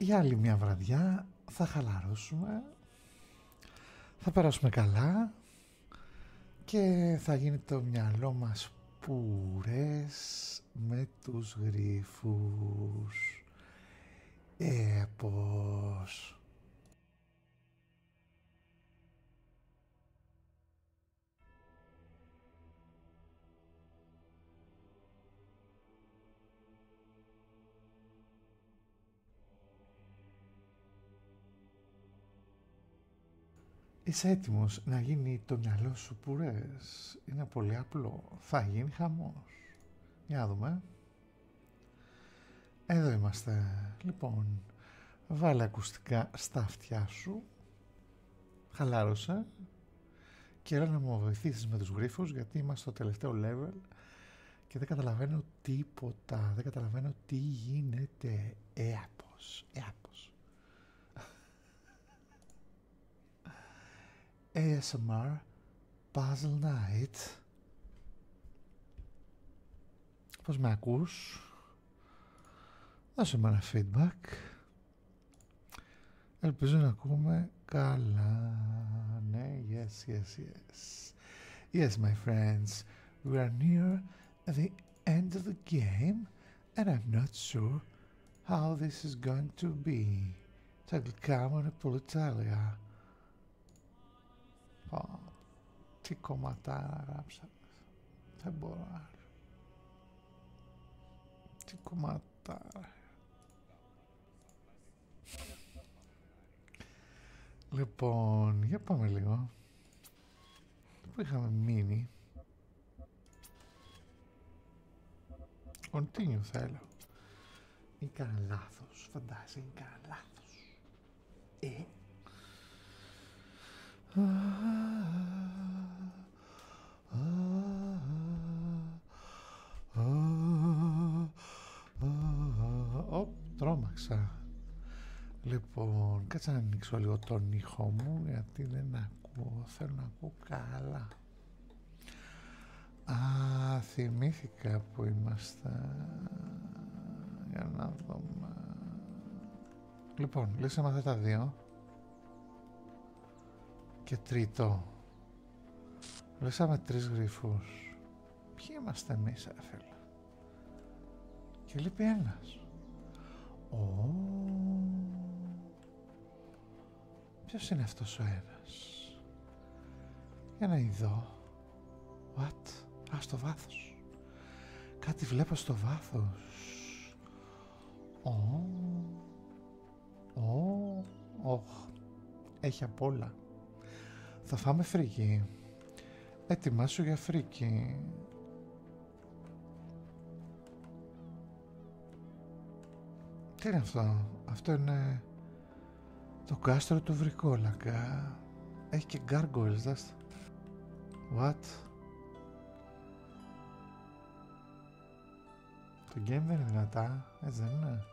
Για άλλη μια βραδιά θα χαλαρώσουμε, θα περάσουμε καλά και θα γίνει το μυαλό μας πουρές με τους γρίφους. Ε, Είσαι έτοιμος να γίνει το μυαλό σου πουρές. Είναι πολύ απλό. Θα γίνει χαμός. Για δούμε. Εδώ είμαστε. Λοιπόν, βάλε ακουστικά στα αυτιά σου. Χαλάρωσε. Και έλα να μου βοηθήσεις με τους γρίφους γιατί είμαστε στο τελευταίο level και δεν καταλαβαίνω τίποτα. Δεν καταλαβαίνω τι γίνεται. Έαπος. Έαπος. ASMR Puzzle Night. Πώς με ακούς. Δώσε μου ένα feedback. Ελπίζω να ακούμε καλά. Ναι, yes, yes, yes. Yes, my friends, we are near the end of the game and I'm not sure how this is going to be. Θα γλυκάμε είναι πολύ τέλεια. Ω, τι κομματάρα γράψαμε. Δεν μπορώ να. Τι κομματάρα. Λοιπόν, για πάμε λίγο. Πού είχαμε μείνει. Continue θέλω. Ή κανένα λάθος, φαντάζει, είναι κανένα λάθος. Ε. Ω, τρόμαξα. Λοιπόν, κάτσε να ανοίξω λίγο τον ήχο μου γιατί δεν ακούω. Θέλω να ακούω καλά. Α, θυμήθηκα που είμαστε για να δούμε. Λοιπόν, λύσαμε αυτά τα δύο. Και τρίτο. Λύσαμε τρεις γρυφούς. Ποιοι είμαστε εμείς, ρε Και λείπει ένας. Ο... Ποιος είναι αυτός ο ένας. Για να ειδώ. What? Α, στο βάθος. Κάτι βλέπω στο βάθος. Ω, ω, οχ. Έχει απ' όλα. Θα φάμε φρίκι. σου για φρίκι. Τι είναι αυτό. Αυτό είναι το κάστρο του Βρικόλακα. Έχει και gargoyles, What? Το game δεν είναι δυνατά, έτσι δεν είναι.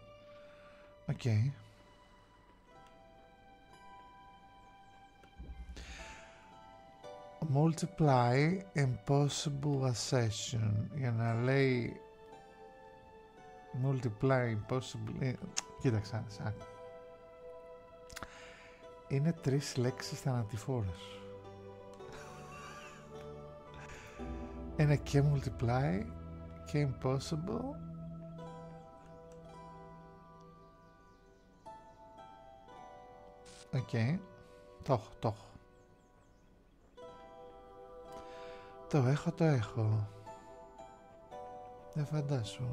Οκ. Okay. Multiply impossible accession, Για να λέει multiply impossible... Κοίταξα, σαν είναι τρεις λέξεις θανατηφόρες. Είναι και multiply και impossible Οκ, okay. το έχω, το έχω. Το έχω, το έχω. Δεν φαντάσου.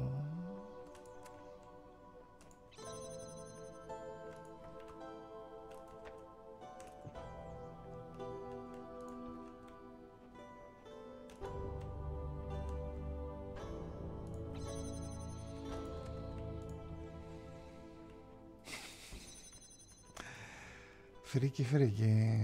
Φρίκι, φρίκι.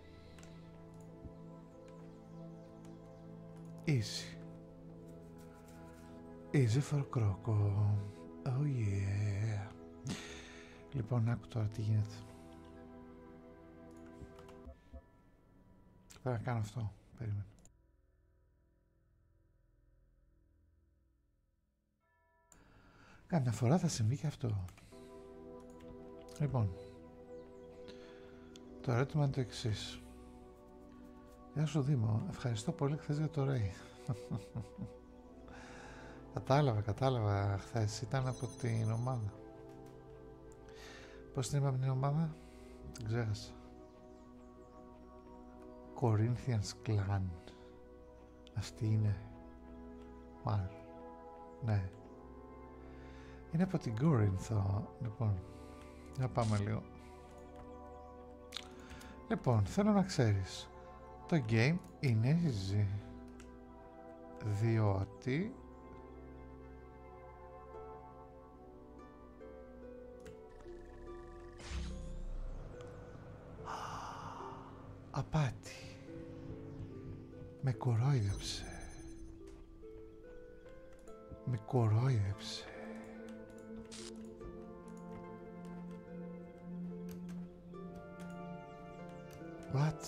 Easy. Easy for Croco. Oh yeah. Λοιπόν, άκου τώρα τι γίνεται. Πρέπει να κάνω αυτό. Περίμενε. Κάνα φορά θα συμβεί και αυτό. Λοιπόν, το ερώτημα είναι το εξή. Γεια σου Δήμο, ευχαριστώ πολύ χθε για το ρεϊ. κατάλαβα, κατάλαβα χθε. Ήταν από την ομάδα. Πώς την είπαμε την ομάδα, την ξέχασα. Corinthians Clan. Αυτή είναι. Μάλλον. Ναι. Είναι από την Κόρινθο. Λοιπόν, Για πάμε λίγο. Λοιπόν, θέλω να ξέρεις. Το game είναι easy. Διότι απάτη. Με κορόιδεψε. Με κορόιδεψε. What?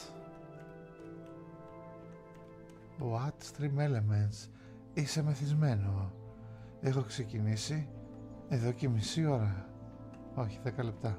What Stream Elements. Είσαι μεθυσμένο. Έχω ξεκινήσει εδώ και μισή ώρα. Όχι, δέκα λεπτά.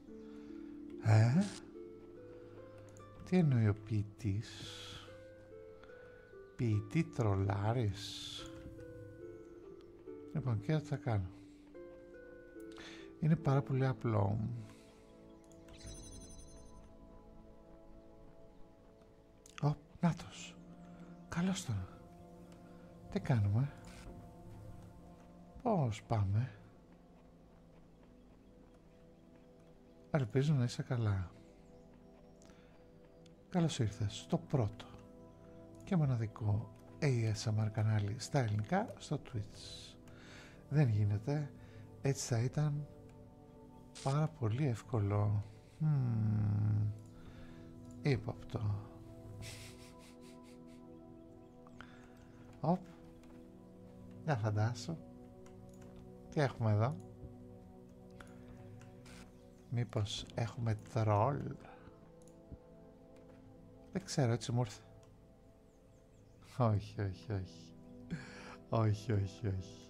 Ε? τι εννοεί ο ποιητής. Ποιητή τρολάρης. Λοιπόν, και θα κάνω. Είναι πάρα πολύ απλό. Ω, νάτος. Καλώς τον. Τι κάνουμε. Πώς πάμε. Ελπίζω να είσαι καλά. Καλώς ήρθες στο πρώτο και μοναδικό ASMR κανάλι στα ελληνικά στο Twitch. Δεν γίνεται. Έτσι θα ήταν πάρα πολύ εύκολο. Υπόπτω. Οπ. Για φαντάσω. Τι έχουμε εδώ. Μήπως έχουμε τρόλ. Δεν ξέρω, έτσι μου ήρθε. Όχι, όχι, όχι. όχι, όχι, όχι.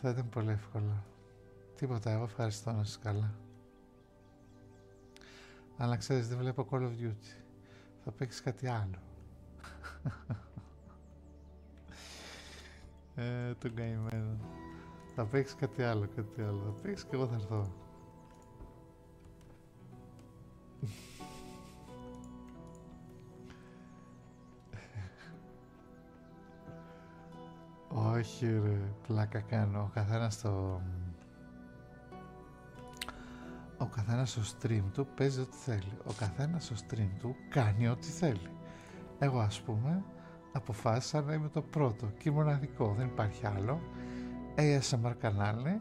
Θα ήταν πολύ εύκολο. Τίποτα, εγώ ευχαριστώ να σας καλά. Αλλά ξέρεις, δεν βλέπω Call of Duty. Θα παίξεις κάτι άλλο. ε, το καημένο. Θα παίξεις κάτι άλλο, κάτι άλλο. Θα παίξεις και εγώ θα έρθω. Όχι ρε, πλάκα κάνω. Ο καθένας το... Ο καθένας στο stream του παίζει ό,τι θέλει. Ο καθένα στο stream του κάνει ό,τι θέλει. Εγώ ας πούμε αποφάσισα να είμαι το πρώτο και μοναδικό, δεν υπάρχει άλλο. ASMR κανάλι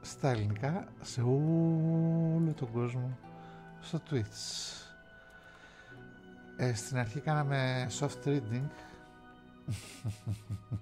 στα ελληνικά σε όλο τον κόσμο στο Twitch. Ε, στην αρχή κάναμε soft reading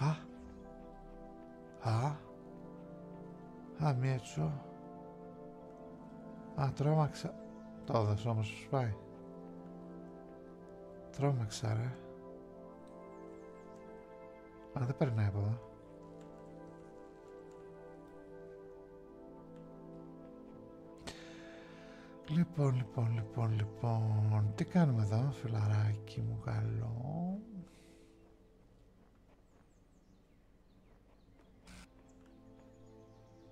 Α. Α. Α, μία Α, τρόμαξα. Το έδωσε όμως σου σπάει. Τρόμαξα, ρε. Αλλά δεν περνάει από εδώ. Λοιπόν, λοιπόν, λοιπόν, λοιπόν, τι κάνουμε εδώ, φιλαράκι μου καλό.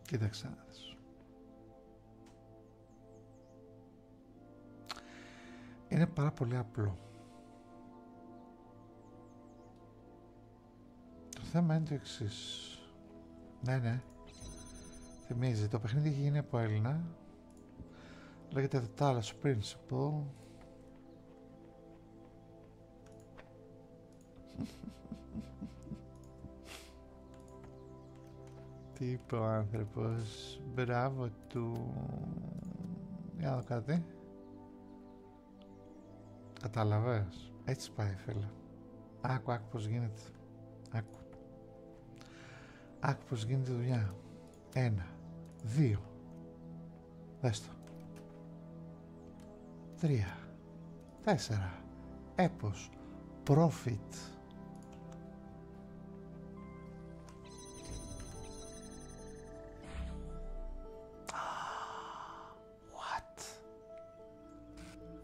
Κοίταξε Είναι πάρα πολύ απλό. Το θέμα είναι το εξή. Ναι, ναι. Θυμίζει, το παιχνίδι έχει γίνει από Έλληνα. Λέγεται The Talos Principle. Τι είπε ο άνθρωπος. Μπράβο του. Για να δω κάτι. Καταλαβες. Έτσι πάει φίλε. Άκου, άκου πώς γίνεται. Άκου. Άκου πώς γίνεται η δουλειά. Ένα. Δύο. Δες το. Τρία. Τέσσερα. Έπος. Profit. What?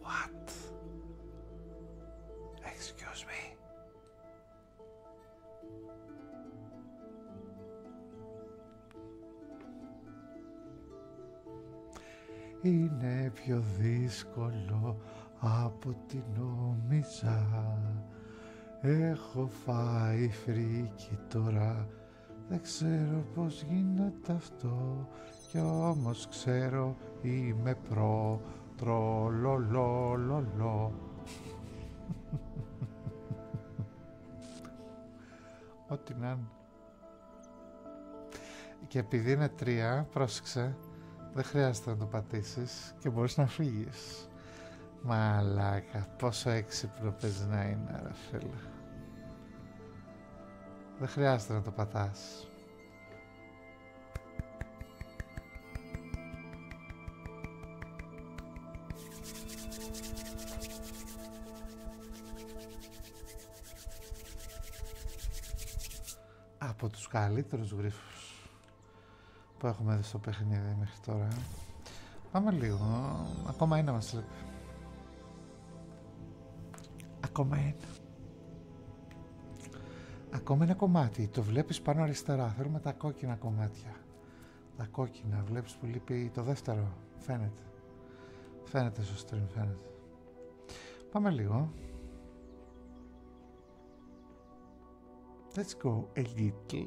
What? Excuse me. Είναι πιο δύσκολο από την νόμιζα. Έχω φάει φρίκι τώρα, δεν ξέρω πως γίνεται αυτό κι όμως ξέρω είμαι προ, τρολολολολο. Ό,τι να Και επειδή είναι τρία, πρόσεξε, δεν χρειάζεται να το πατήσεις και μπορείς να φύγεις. Μαλάκα, πόσο έξυπνο πες να είναι, ρε Δεν χρειάζεται να το πατάς. Από τους καλύτερους γρίφους που έχουμε δει στο παιχνίδι μέχρι τώρα. Πάμε λίγο. Ακόμα ένα μας λείπει. Ακόμα ένα. Ακόμα ένα κομμάτι. Το βλέπεις πάνω αριστερά. Θέλουμε τα κόκκινα κομμάτια. Τα κόκκινα. Βλέπεις που λείπει το δεύτερο. Φαίνεται. Φαίνεται στο stream. Φαίνεται. Πάμε λίγο. Let's go a little.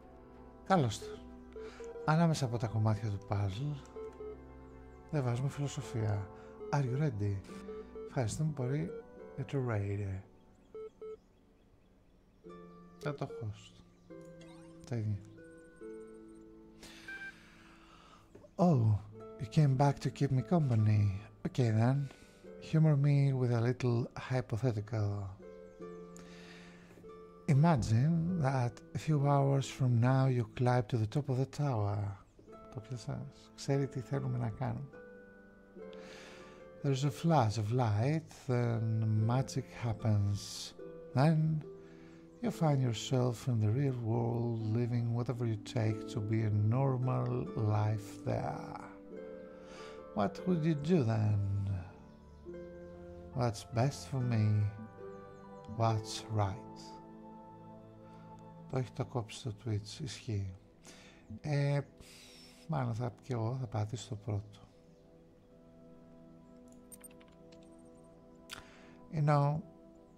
Καλώς το. Ανάμεσα από τα κομμάτια του παζλ δεν βάζουμε φιλοσοφία. Are you ready? Ευχαριστούμε πολύ για το Raider. Θα το Τα ίδια. Oh, you came back to keep me company. Okay then. Humor me with a little hypothetical. Imagine that a few hours from now you climb to the top of the tower. Το οποίο σας ξέρει τι θέλουμε να There's a flash of light, then magic happens. Then you find yourself in the real world living whatever you take to be a normal life there. What would you do then? what's best for me, what's right. Το έχει το κόψει το Twitch, ισχύει. Ε, μάλλον θα και εγώ θα πατήσω το πρώτο. You know,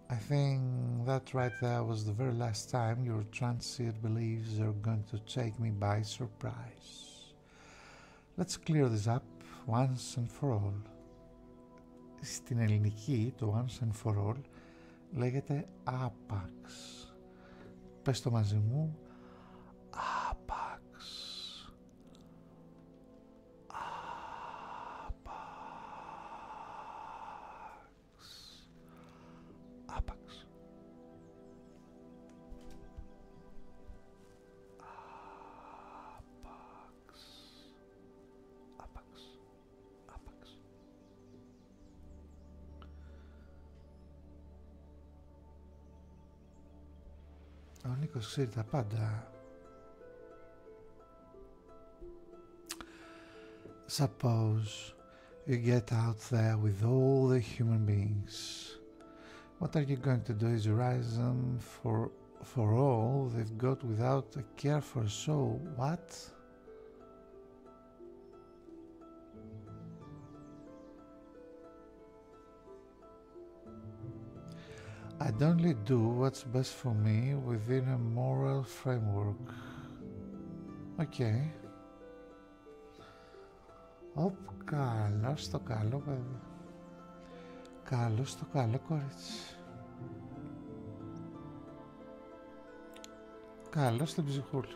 I think that right there was the very last time your transient beliefs are going to take me by surprise. Let's clear this up once and for all. Στην ελληνική το once and for all λέγεται άπαξ. Πες το μαζί μου. Άπαξ. Άπαξ. Άπαξ. Apax. Apax. Apax. Ο Νίκος ξέρει τα Suppose you get out there with all the human beings what are you going to do is rise them for, for all they've got without a care for a soul? What? I'd only do what's best for me within a moral framework. Okay. Οπ, καλό στο καλό παιδί. Καλό στο καλό κορίτσι. Καλό στην ψυχούλα.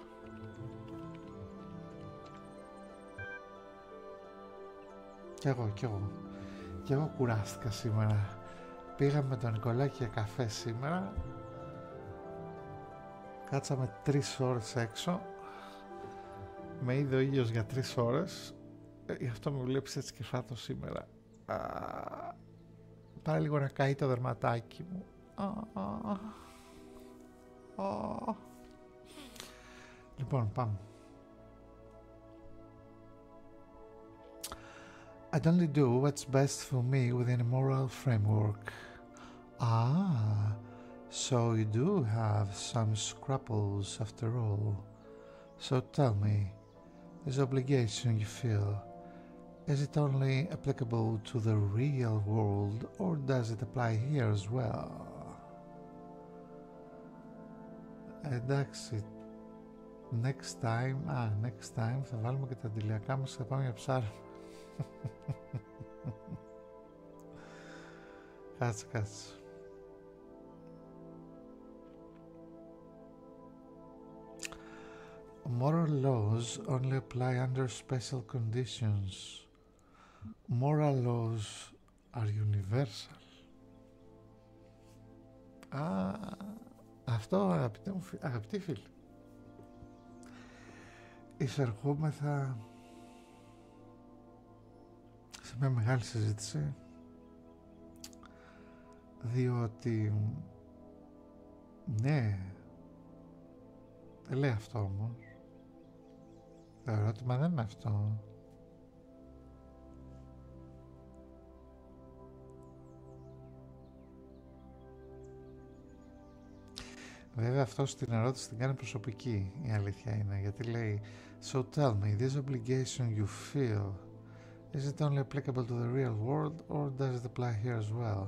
Κι εγώ, κι εγώ. Κι εγώ κουράστηκα σήμερα. Πήγαμε με τον Νικολάκη για καφέ σήμερα. Κάτσαμε τρεις ώρες έξω με είδε ο ήλιος για τρεις ώρες ε, γι' αυτό με βλέπεις έτσι και φάτω σήμερα Πάρα λίγο να καεί το δερματάκι μου λοιπόν πάμε I only do what's best for me within a moral framework. Ah, so you do have some scruples after all. So tell me, this obligation you feel, is it only applicable to the real world or does it apply here as well? Εντάξει, next time, α, ah, next time θα βάλουμε και τα αντιλιακά μας και θα Κάτσε, κάτσε. Moral laws only apply under special conditions. Moral laws are universal. Α, αυτό αγαπητέ μου, αγαπητοί φίλοι. Εισερχόμεθα σε μια μεγάλη συζήτηση διότι ναι δεν λέει αυτό όμως το ερώτημα δεν είναι αυτό Βέβαια αυτό την ερώτηση την κάνει προσωπική η αλήθεια είναι γιατί λέει So tell me, this obligation you feel is it only applicable to the real world or does it apply here as well?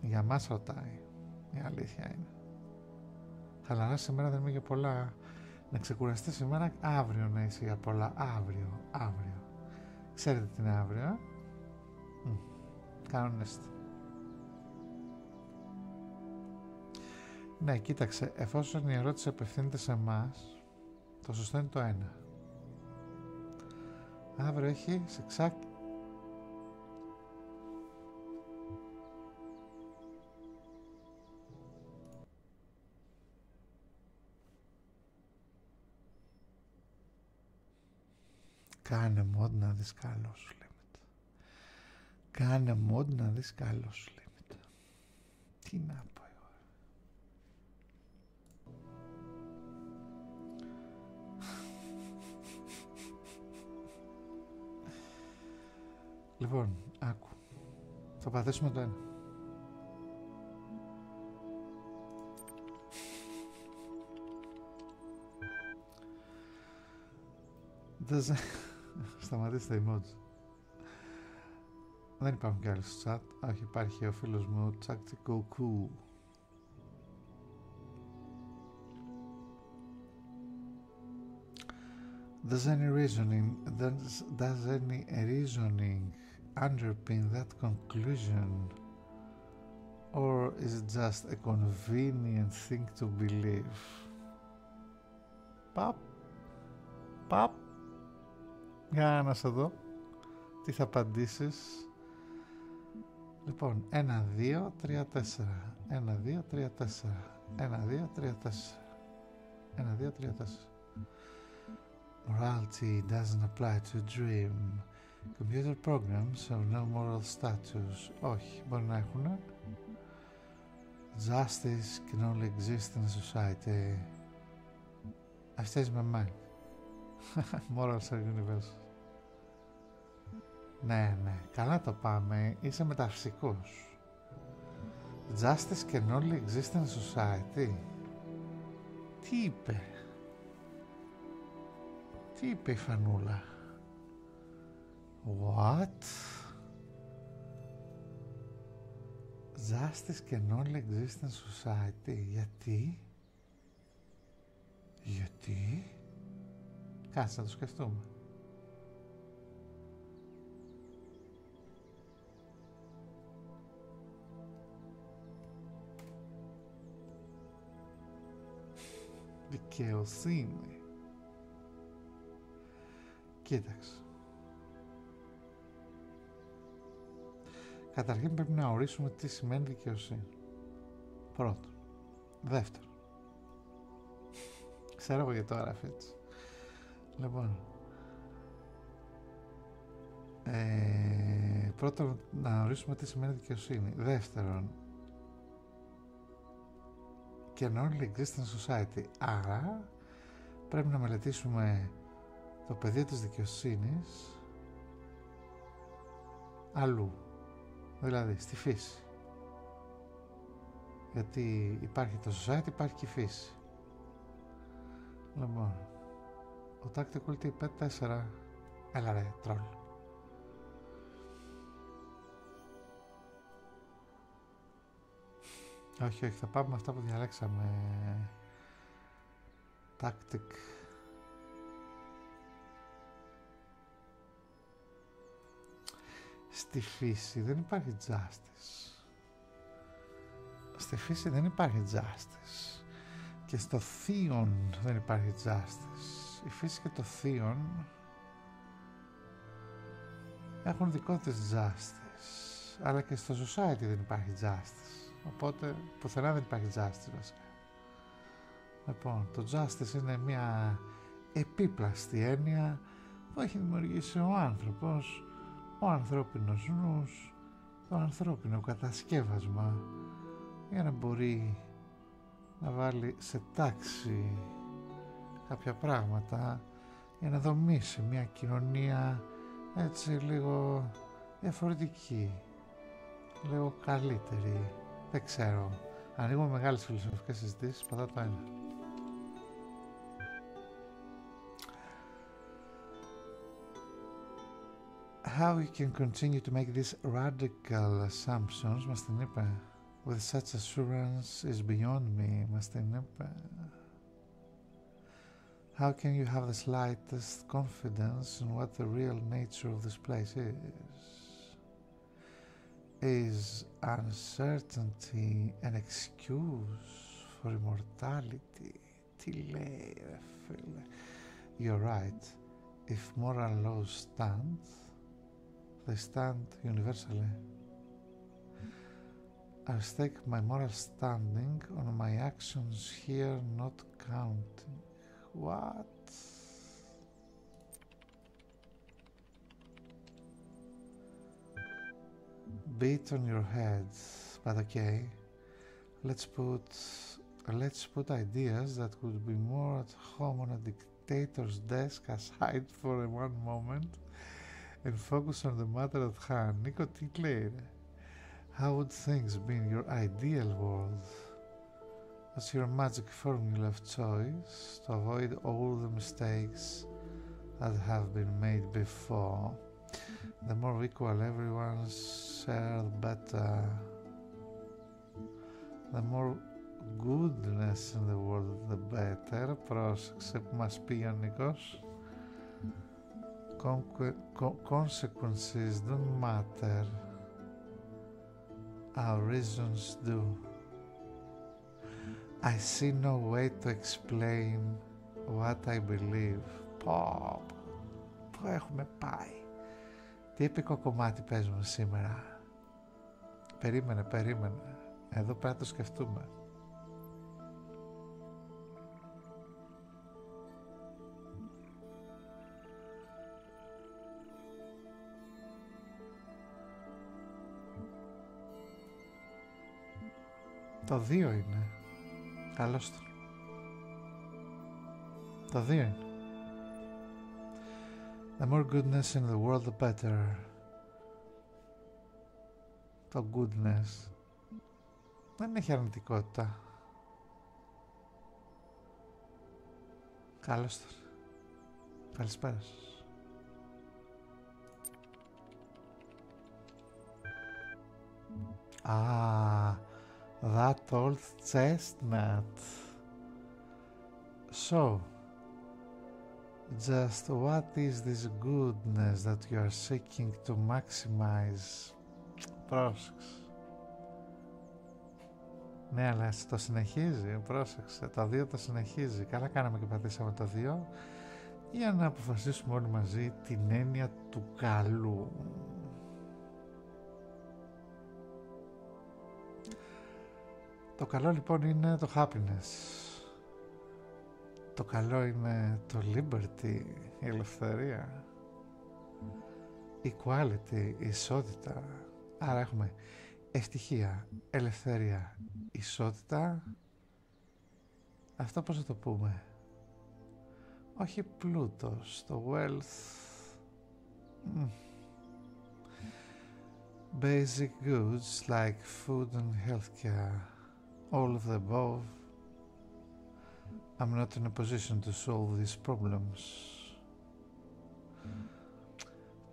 Για μας ρωτάει η αλήθεια είναι. Χαλαρά σήμερα δεν είμαι για πολλά. Να ξεκουραστεί σήμερα, αύριο να είσαι για πολλά. Αύριο, αύριο. Ξέρετε τι είναι αύριο, ε? Ναι, κοίταξε, εφόσον η ερώτηση απευθύνεται σε εμά, το σωστό είναι το ένα. Αύριο έχει Κάνε μόντ να δεις καλό σου λέμε. Κάνε μόντ να δεις καλό σου λέμε. Τι να πω εγώ. Λοιπόν, άκου. Θα παθήσουμε το ένα. Δεν Σταματήστε η μότζ. Δεν υπάρχουν και άλλοι στο chat. Όχι, υπάρχει ο φίλος μου, ο Τσακτσικοκού. Does any reasoning, does any reasoning underpin that conclusion? or is it just a convenient thing to believe? Παπ, παπ, για να σε δω, τι θα απαντήσεις. Λοιπόν, ένα, δύο, τρία, τέσσερα. Ένα, δύο, τρία, τέσσερα. Ένα, δύο, τρία, τέσσερα. Ένα, δύο, τρία, τέσσερα. Morality doesn't apply to dream. Computer programs have no moral status. Όχι, μπορεί να έχουν. Justice can only exist in a society. Αυτές με my mind. σε are Ναι, ναι, καλά το πάμε. Είσαι μεταφυσικός. Justice can only exist in society. Τι είπε. Τι είπε η Φανούλα. What? και can υπάρχει στον Γιατί? Γιατί? Κάτσε να το σκεφτούμε. Δικαιοσύνη. Κοίταξε. Καταρχήν πρέπει να ορίσουμε τι σημαίνει δικαιοσύνη. Πρώτον. Δεύτερο. Ξέρω εγώ γιατί το έγραφε έτσι. Λοιπόν. Ε, να ορίσουμε τι σημαίνει δικαιοσύνη. Δεύτερον, και non-existent Society. Άρα πρέπει να μελετήσουμε το πεδίο της δικαιοσύνης αλλού, δηλαδή στη φύση. Γιατί υπάρχει το society, υπάρχει και η φύση. Λοιπόν, ο Tactical T4, έλα ρε, τρόλ. Όχι, όχι, θα πάμε αυτά που διαλέξαμε. Tactic. Στη φύση δεν υπάρχει justice. Στη φύση δεν υπάρχει justice. Και στο θείον δεν υπάρχει justice. Η φύση και το θείον έχουν δικό τους justice, αλλά και στο society δεν υπάρχει justice, οπότε πουθενά δεν υπάρχει justice βασικά. Λοιπόν, το justice είναι μια επίπλαστη έννοια που έχει δημιουργήσει ο άνθρωπος, ο ανθρώπινος νους, το ανθρώπινο κατασκεύασμα για να μπορεί να βάλει σε τάξη κάποια πράγματα για να δομήσει μια κοινωνία έτσι λίγο διαφορετική, λίγο καλύτερη. Δεν ξέρω. Ανοίγουμε μεγάλες φιλοσοφικές συζητήσεις, πατά το ένα. How you can continue to make these radical assumptions, μας την είπε. with such assurance is beyond me, Master Nepe. How can you have the slightest confidence in what the real nature of this place is? Is uncertainty an excuse for immortality? You're right. If moral laws stand, they stand universally. I stake my moral standing on my actions here, not counting. What? Beat on your head, but okay. Let's put let's put ideas that would be more at home on a Tator's desk aside for one moment and focus on the matter at hand. Nico declared, How would things be in your ideal world? What's your magic formula of choice to avoid all the mistakes that have been made before? The more equal everyone's share, the better. The more goodness in the world, the better. Πρόσεξε που μας πει ο Νίκος. Consequences don't matter. Our reasons do. I see no way to explain what I believe. Πω, το έχουμε πάει. Τι επικό κομμάτι παίζουμε σήμερα. Περίμενε, περίμενε. Εδώ πέρα το σκεφτούμε. Το δύο είναι. Καλώς το. Το δύο είναι. The more goodness in the world, the better το goodness δεν έχει αρνητικότητα. Καλώς τον. Καλησπέρα σας. Ah, that old chestnut. So, just what is this goodness that you are seeking to maximize? Πρόσεξε. Ναι, αλλά το συνεχίζει, πρόσεξε. Τα δύο τα συνεχίζει. Καλά κάναμε και πατήσαμε τα δύο για να αποφασίσουμε όλοι μαζί την έννοια του καλού. Το καλό λοιπόν είναι το happiness. Το καλό είναι το liberty, η ελευθερία. Equality, η ισότητα. Άρα έχουμε ευτυχία, ελευθερία, ισότητα. Αυτό πώς θα το πούμε. Όχι πλούτος, το wealth. Basic goods like food and healthcare, all of the above, I'm not in a position to solve these problems.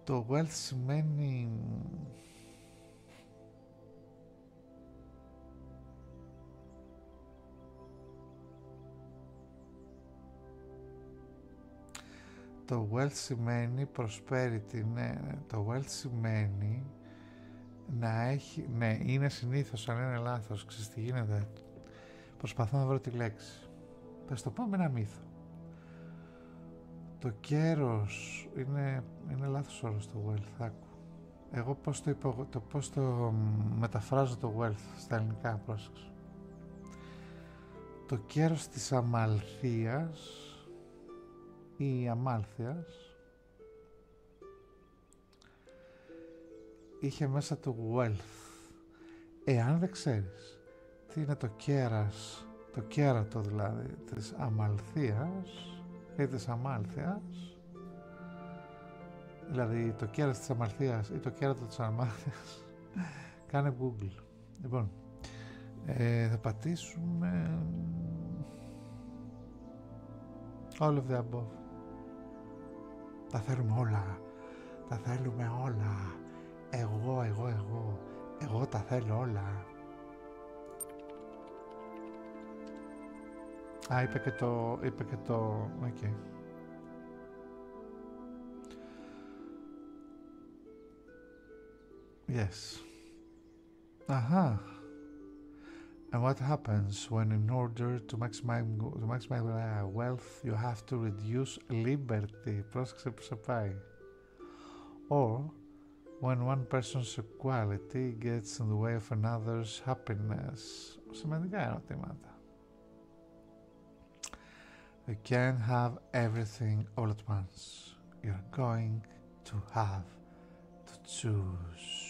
The wealth many. Το wealth σημαίνει prosperity, ναι, ναι, το wealth σημαίνει να έχει, ναι, είναι συνήθως αν είναι λάθος, ξέρεις τι γίνεται. Προσπαθώ να βρω τη λέξη. πες το πω με ένα μύθο. Το κέρος είναι, είναι λάθος όρος το wealth, άκου. Εγώ πώς το, υπο, το, πώς το μεταφράζω το wealth στα ελληνικά, πρόσεξε. Το κέρος της αμαλθίας ή αμάλθειας είχε μέσα το wealth. Εάν δεν ξέρεις τι είναι το κέρας, το κέρατο δηλαδή της αμαλθίας ή της αμάλθειας, δηλαδή το κέρα της αμαλθίας ή το κέρατο της αμάλθειας, κάνε Google. Λοιπόν, ε, θα πατήσουμε... All of the Τα θέλουμε όλα. Τα θέλουμε όλα. Εγώ, εγώ, εγώ. Εγώ τα θέλω όλα. Α, είπε και το... Είπε και το... Οκ. Yes. Aha. And what happens when, in order to maximize, to maximize wealth, you have to reduce liberty, πρόσεξε supply, Or when one person's quality gets in the way of another's happiness. Σημαντικά ερωτήματα. We can't have everything all at once. You're going to have to choose.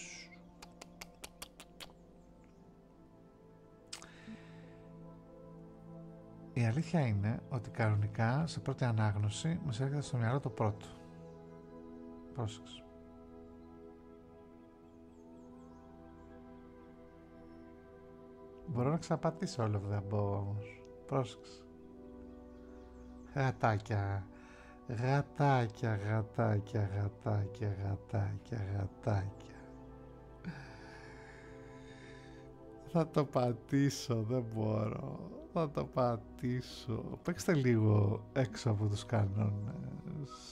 Η αλήθεια είναι ότι κανονικά σε πρώτη ανάγνωση μας έρχεται στο μυαλό το πρώτο. Πρόσεξε. Μπορώ να ξαπατήσω όλο που δεν μπορώ όμως. Πρόσεξε. Γατάκια, γατάκια, γατάκια, γατάκια, γατάκια, γατάκια. Θα το πατήσω, δεν μπορώ. Θα το πατήσω. Παίξτε λίγο έξω από τους κανόνες.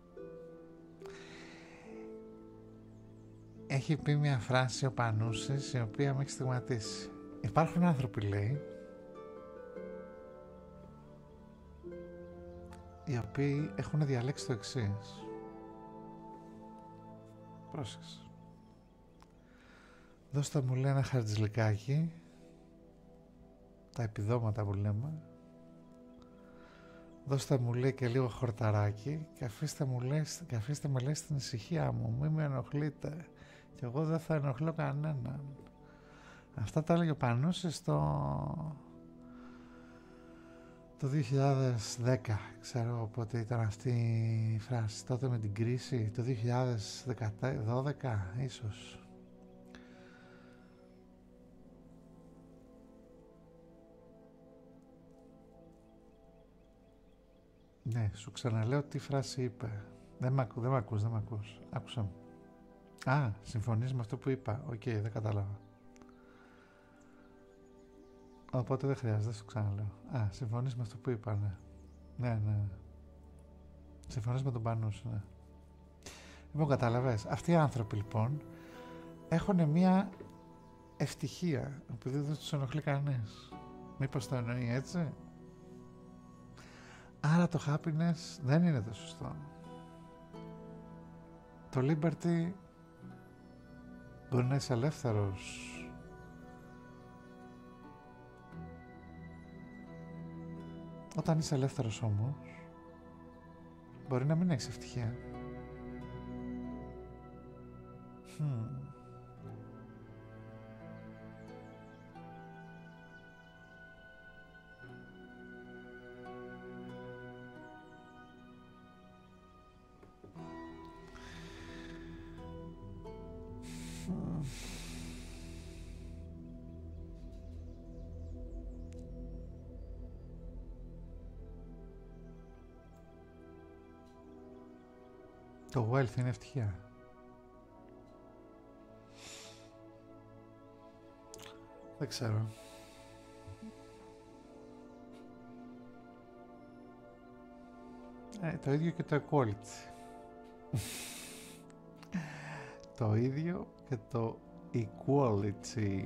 έχει πει μια φράση ο Πανούσης η οποία με έχει στιγματίσει. Υπάρχουν άνθρωποι λέει οι οποίοι έχουν διαλέξει το εξή. Πρόσεξε. Δώστε μου λέει ένα χαρτζλικάκι, τα επιδόματα που λέμε δώστε μου λέει και λίγο χορταράκι και αφήστε, μου, λέει, και αφήστε με λέει στην ησυχία μου, μη με ενοχλείτε και εγώ δεν θα ενοχλώ κανέναν. Αυτά τα έλεγε ο Πανούσης το, το 2010, ξέρω πότε ήταν αυτή η φράση, τότε με την κρίση, το 2012 ίσως. Ναι, σου ξαναλέω τι φράση είπε. Δεν μ' ακού, δεν με ακούς, δεν μ' ακούς. μου. Α, συμφωνείς με αυτό που είπα. Οκ, δεν κατάλαβα. Οπότε δεν χρειάζεται, σου ξαναλέω. Α, συμφωνείς με αυτό που είπα, ναι. Ναι, ναι. Συμφωνείς με τον πανού ναι. Λοιπόν, καταλαβες. Αυτοί οι άνθρωποι, λοιπόν, έχουν μία ευτυχία, επειδή δεν του ενοχλεί κανείς. Μήπως το εννοεί έτσι. Άρα το happiness δεν είναι το σωστό. Το liberty μπορεί να είσαι ελεύθερος. Όταν είσαι ελεύθερος όμως, Μπορεί να μην έχει ευτυχία. Το wealth είναι ευτυχία. Δεν ξέρω. Ε, το ίδιο και το equality. το ίδιο και το equality.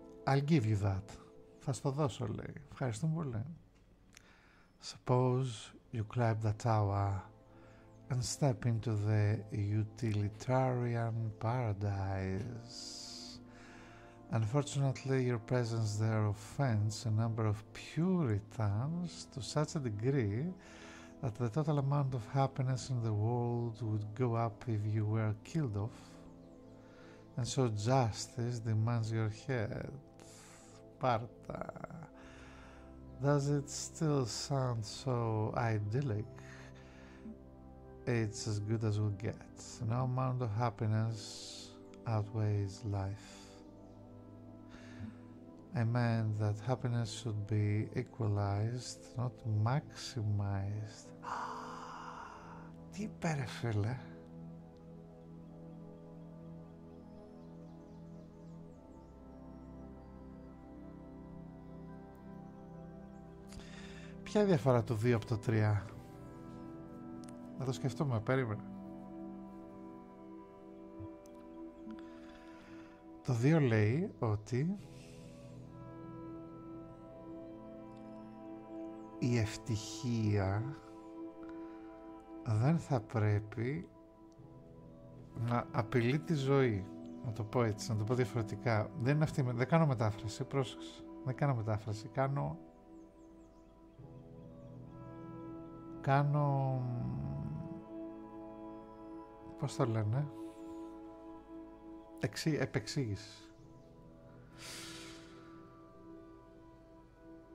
I'll give you that. Θα στο δώσω, λέει. Ευχαριστούμε πολύ. Suppose you climb the tower and step into the utilitarian paradise. Unfortunately, your presence there offends a number of Puritans to such a degree that the total amount of happiness in the world would go up if you were killed off and so justice demands your head. Sparta. Does it still sound so idyllic? It's as good as we get. No amount of happiness outweighs life. I meant that happiness should be equalized It's not maximized. Τι είπε ρε φίλε. Ποια είναι η διαφορά του 2 από το 3. Να το σκεφτούμε, περίμενε. Το 2 λέει ότι η ευτυχία δεν θα πρέπει να απειλεί τη ζωή. Να το πω έτσι, να το πω διαφορετικά. Δεν αυτή, δεν κάνω μετάφραση, πρόσεξε. Δεν κάνω μετάφραση, κάνω... Κάνω... Πώς το λένε... επεξήγηση.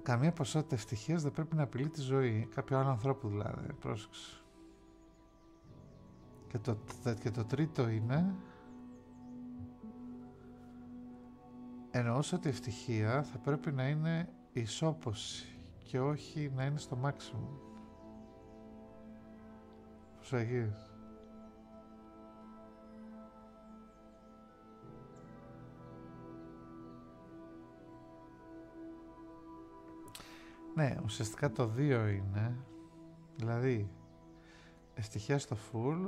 Καμία ποσότητα ευτυχία δεν πρέπει να απειλεί τη ζωή κάποιου άλλου ανθρώπου δηλαδή. Πρόσεξε. Και το, και το τρίτο είναι ενώ ότι η ευτυχία θα πρέπει να είναι ισόποση και όχι να είναι στο maximum. Προσέχεις. Ναι, ουσιαστικά το δύο είναι. Δηλαδή, ευτυχιά στο φουλ,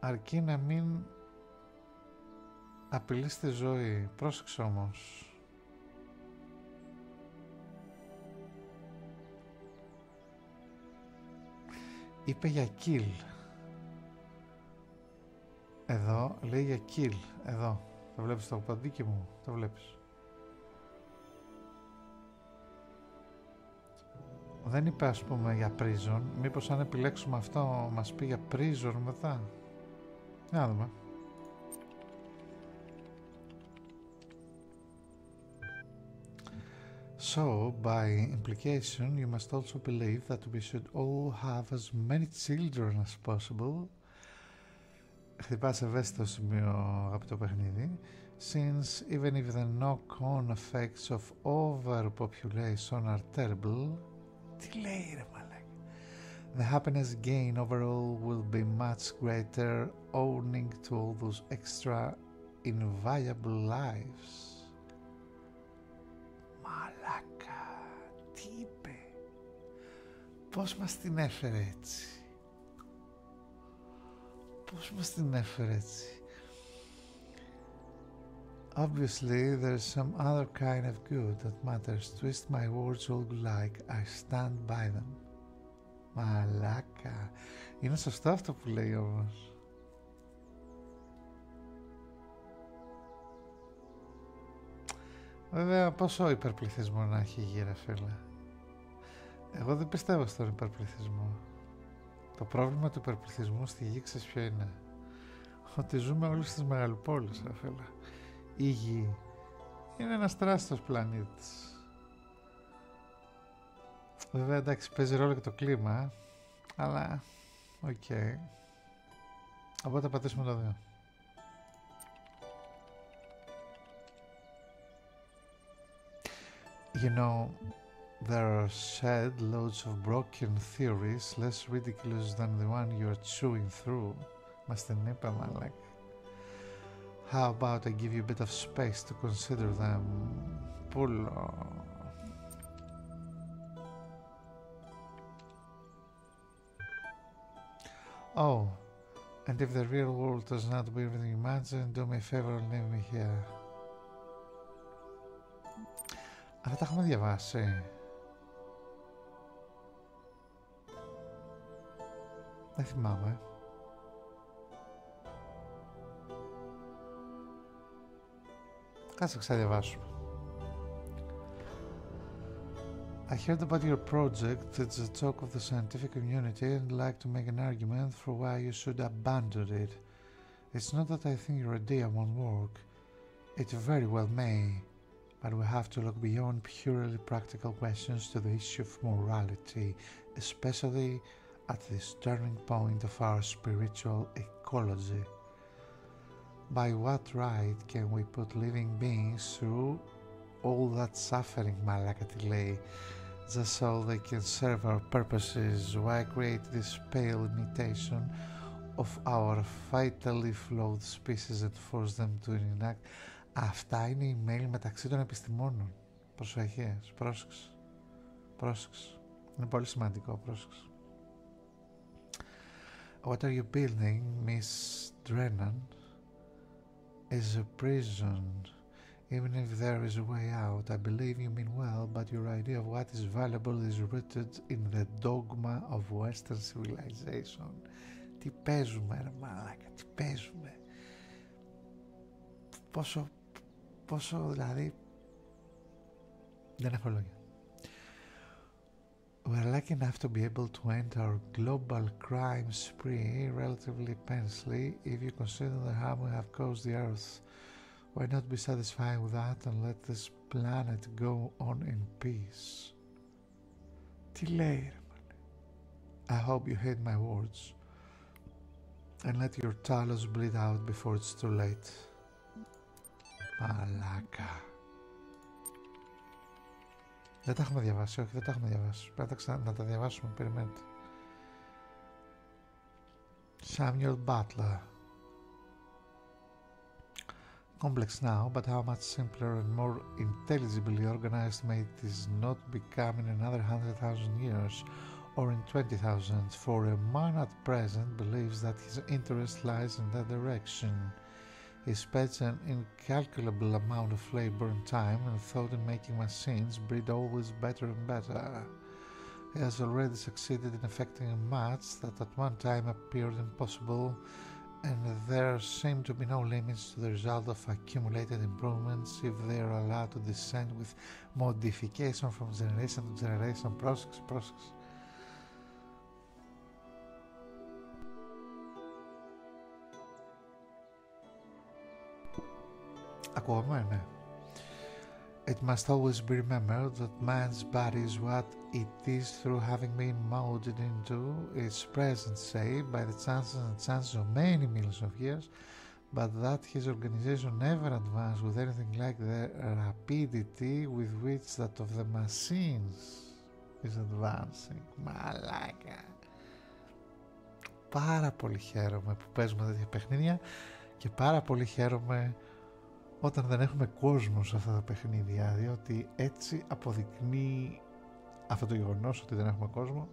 αρκεί να μην απειλείς τη ζωή. Πρόσεξε όμως. Είπε για kill. Εδώ λέει για kill. Εδώ. Το βλέπεις το παντίκι μου. Το βλέπεις. Δεν είπε ας πούμε για prison. Μήπως αν επιλέξουμε αυτό μας πει για prison μετά. Να δούμε. So, by implication, you must also believe that we should all have as many children as possible. Χτυπάς ευαίσθητο σημείο από Since even if the knock-on effects of overpopulation are terrible, The happiness gain overall will be much greater owning to all those extra inviolable lives. Μαλάκα, τι είπε, πώς μας την έφερε έτσι. Πώς μας Obviously, there's some other kind of good that matters. Twist my words all like I stand by them. Μαλάκα. Είναι σωστό αυτό που λέει όμω. Βέβαια, πόσο υπερπληθυσμό να έχει η γύρα, φίλε. Εγώ δεν πιστεύω στον υπερπληθυσμό. Το πρόβλημα του υπερπληθυσμού στη γη, ξέρεις ποιο είναι. Ότι ζούμε όλοι στις μεγαλοπόλεις, φίλε. Η γη είναι ένα πλανήτης. Βέβαια εντάξει παίζει ρόλο και το κλίμα, αλλά οκ. Okay. τα πατήσουμε το δύο. You know, there are said loads of broken theories less ridiculous than the one you are chewing through. Μας την είπε, How about I give you a bit of space to consider them? Pull. Oh, and if the real world does not be everything you imagine, do me a favor and leave me here. Αυτά τα έχουμε διαβάσει. Δεν θυμάμαι. Κάτσε ξαναδιαβάσουμε. I heard about your project. It's a talk of the scientific community and like to make an argument for why you should abandon it. It's not that I think your idea won't work. It very well may, but we have to look beyond purely practical questions to the issue of morality especially at this turning point of our spiritual ecology. By what right can we put living beings through all that suffering, Malakati just so they can serve our purposes? Why create this pale imitation of our vitally flawed species and force them to enact? a tiny male mail μεταξύ των επιστημόνων προσοχές, πρόσεξε, πρόσεξε. Είναι πολύ σημαντικό, πρόσεξε. What are you building, Miss Drennan, is a prison. Even if there is a way out, I believe you mean well, but your idea of what is valuable is rooted in the dogma of Western civilization. Τι παίζουμε, ρε μαλάκα, τι παίζουμε. λόγια. We're lucky enough to be able to end our global crime spree relatively pensively if you consider the harm we have caused the Earth. Why not be satisfied with that and let this planet go on in peace? Τι I hope you heard my words and let your talos bleed out before it's too late. Μαλάκα. Δεν τα έχουμε διαβάσει, όχι δεν τα έχουμε διαβάσει. Πρέπει να, ξα... να τα διαβάσουμε, περιμένετε. Samuel Butler. Complex now, but how much simpler and more intelligibly organized may this not become in another hundred thousand years or in twenty thousand, for a man at present believes that his interest lies in that direction. He spends an incalculable amount of labor and time and thought in making machines breed always better and better. He has already succeeded in effecting a that at one time appeared impossible, and there seem to be no limits to the result accumulated improvements if they are allowed to descend with modification from generation to generation, process, process. Ακούγομαι, eh? It must always be remembered that man's body is what it is through having been molded into its present shape by the chances and chances of many millions of years but that his organization never advanced with anything like the rapidity with which that of the machines is advancing. Μαλάκα. Πάρα πολύ χαίρομαι που παίζουμε τέτοια παιχνίδια και πάρα πολύ χαίρομαι όταν δεν έχουμε κόσμο σε αυτά τα παιχνίδια διότι έτσι αποδεικνύει αυτό το γεγονός ότι δεν έχουμε κόσμο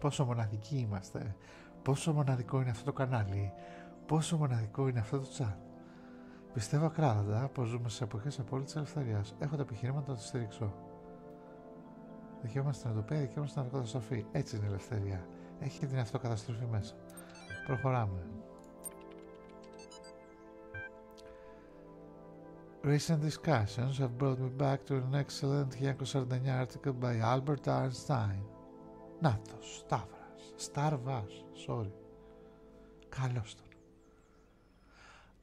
πόσο μοναδικοί είμαστε, πόσο μοναδικό είναι αυτό το κανάλι, πόσο μοναδικό είναι αυτό το chat. Πιστεύω ακράδαντα πως ζούμε σε εποχές απόλυτης ελευθερία. Έχω τα επιχειρήματα να το στηρίξω. Δικαίωμα στην οτοπία, δικαίωμα στην Έτσι είναι η ελευθερία. Έχει και την αυτοκαταστροφή μέσα. Προχωράμε. Recent discussions have brought me back to an excellent 1949 article by Albert Einstein. Natos, Σταύρας, Σταρβάς, sorry. Καλώς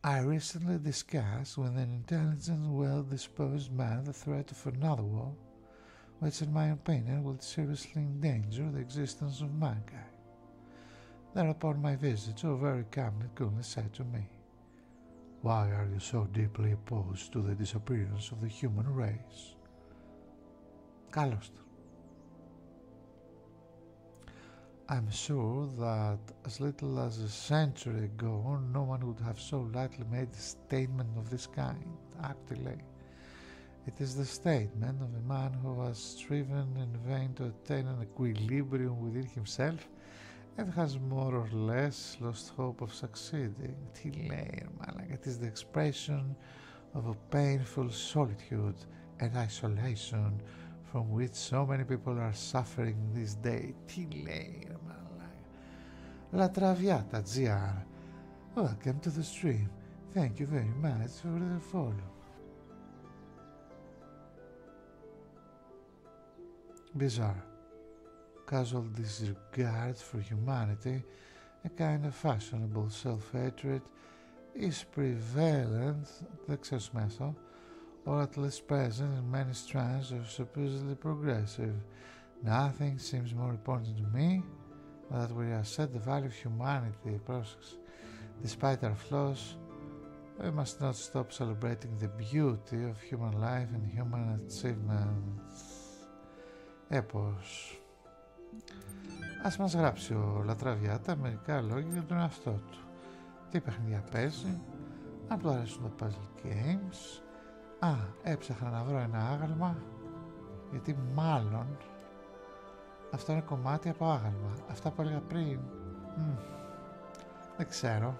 I recently discussed with an intelligent, well-disposed man the threat of another war, which in my opinion would seriously endanger the existence of mankind. Thereupon my visitor very calmly, coolly said to me, why are you so deeply opposed to the disappearance of the human race? Καλώστε. I'm sure that as little as a century ago, no one would have so lightly made a statement of this kind. Actually, it is the statement of a man who has striven in vain to attain an equilibrium within himself it has more or less lost hope of succeeding. Tilair, Malaga, it is the expression of a painful solitude and isolation from which so many people are suffering these days. Tilair, Malaga. La Traviata, GR. Welcome to the stream. Thank you very much for the follow. Bizarre. Casual disregard for humanity, a kind of fashionable self hatred, is prevalent at excess metal, or at least present in many strands of supposedly progressive. Nothing seems more important to me than that we have set the value of humanity process. Despite our flaws, we must not stop celebrating the beauty Beauty of Human Life and Human Έπως. Ε, Ας μας γράψει ο Λατραβιάτα μερικά λόγια για τον εαυτό του. Τι παιχνίδια παίζει, αν του αρέσουν τα puzzle games. Α, έψαχνα να βρω ένα άγαλμα, γιατί μάλλον αυτό είναι κομμάτι από άγαλμα. Αυτά που έλεγα πριν, δεν ξέρω.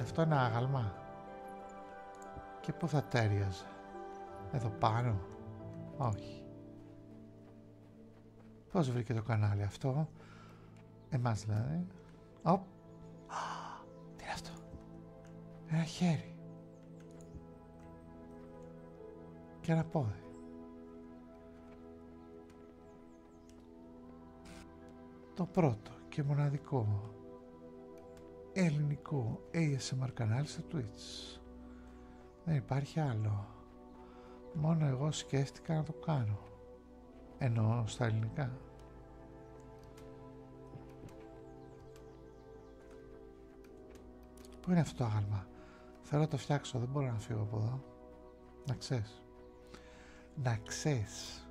Αυτό είναι άγαλμα. Και πού θα τέριαζε. Εδώ πάνω. Όχι. Πώς βρήκε το κανάλι αυτό. Εμάς δηλαδή. Οπ. Τι είναι αυτό. Ένα χέρι. Και ένα πόδι. Το πρώτο και μοναδικό ελληνικό ASMR κανάλι στο Twitch. Δεν υπάρχει άλλο. Μόνο εγώ σκέφτηκα να το κάνω. Ενώ στα ελληνικά. Πού είναι αυτό το άγαλμα. Θέλω να το φτιάξω, δεν μπορώ να φύγω από εδώ. Να ξέρεις. Να ξέρεις.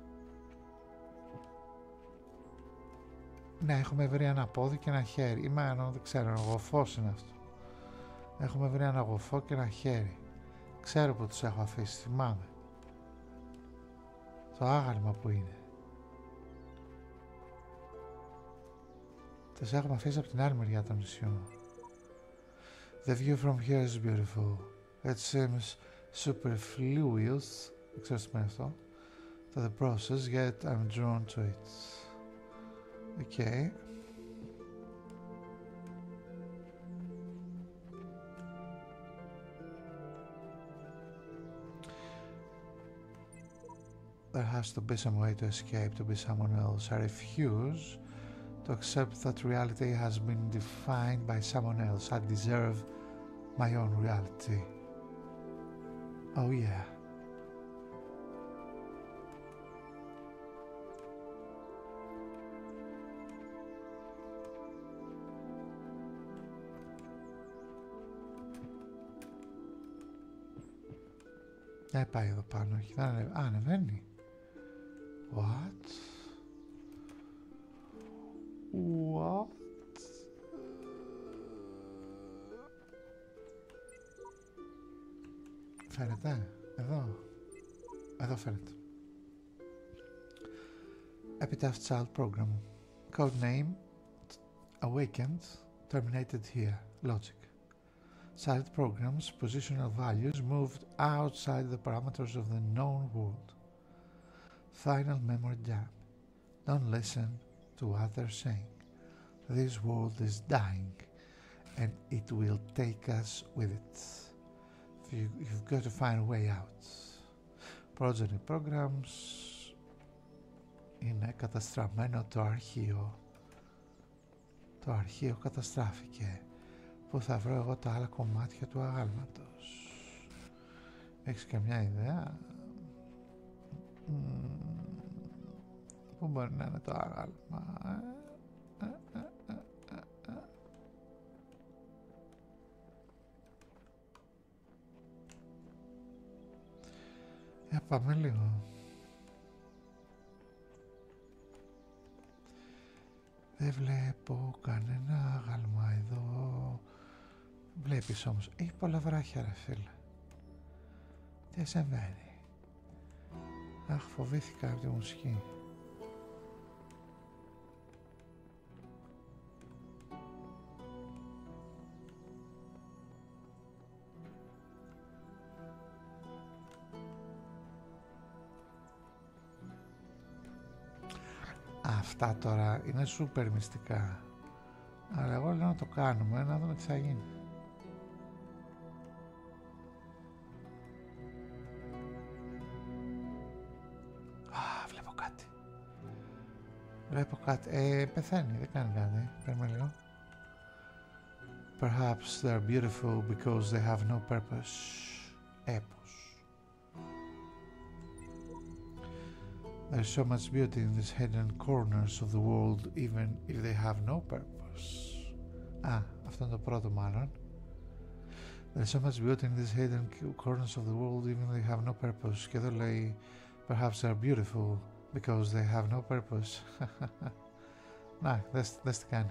Να έχουμε βρει ένα πόδι και ένα χέρι. Ή μάλλον δεν ξέρω, ένα γοφό είναι αυτό. Έχουμε βρει ένα γοφό και ένα χέρι. Ξέρω που τους έχω αφήσει, θυμάμαι. Το άγαλμα που είναι. Τους έχουμε αφήσει από την άλλη μεριά των νησιών. The view from here is beautiful. It seems superfluous, excuse myself, to the process, yet I'm drawn to it. Okay. There has to be some way to escape, to be someone else. I refuse to accept that reality has been defined by someone else. I deserve my own reality. Oh, yeah. Ε, πάει εδώ πάνω, έχει να ανεβαίνει. What? What? Φαίνεται, εδώ. Εδώ φαίνεται. Epitaph Child Program. Code name Awakened. Terminated here. Logic. Child programs, positional values moved outside the parameters of the known world. Final memory jam. Don't listen to others saying, This world is dying and it will take us with it. You, have got to find a way out. Progeny programs είναι καταστραμμένο το αρχείο. Το αρχείο καταστράφηκε. που θα βρω εγώ τα άλλα κομμάτια του άγαλματος. Έχεις μια ιδέα που μπορεί να είναι το άγαλμα. Για ε? ε, πάμε λίγο. Δεν βλέπω κανένα άγαλμα εδώ. Βλέπεις όμως, έχει πολλά βράχια ρε φίλε. Τι Αχ, φοβήθηκα από τη μουσική. Αυτά τώρα είναι σούπερ μυστικά. Αλλά εγώ λέω να το κάνουμε, να δούμε τι θα γίνει. Α, βλέπω κάτι. Βλέπω κάτι. Ε, πεθαίνει, δεν κάνει κάτι. Παίρνουμε λίγο. Perhaps they are beautiful because they have no purpose. Έπος. There's so much beauty in these hidden corners of the world, even if they have no purpose. Ah, after είναι το πρώτο There's so much beauty in these hidden corners of the world, even if they have no purpose. Και εδώ perhaps they are beautiful because they have no purpose. Να, δες, δες τι κάνει,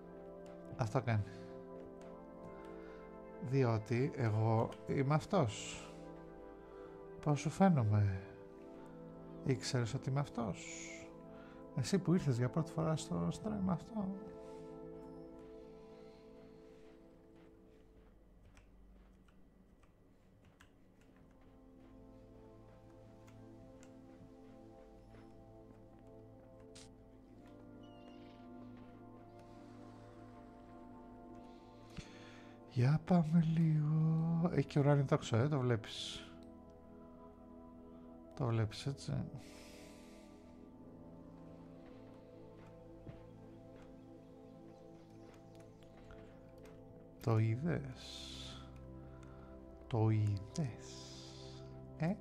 Αυτό κάνει. Διότι εγώ είμαι αυτός. Πώς σου φαίνομαι. Ήξερες ότι είμαι αυτός. Εσύ που ήρθες για πρώτη φορά στο στρέμμα αυτό. Για πάμε λίγο... Έχει και ουράνιο τόξο, ε, το βλέπεις. Το βλέπεις, έτσι. Το είδες. Το είδες. Ε.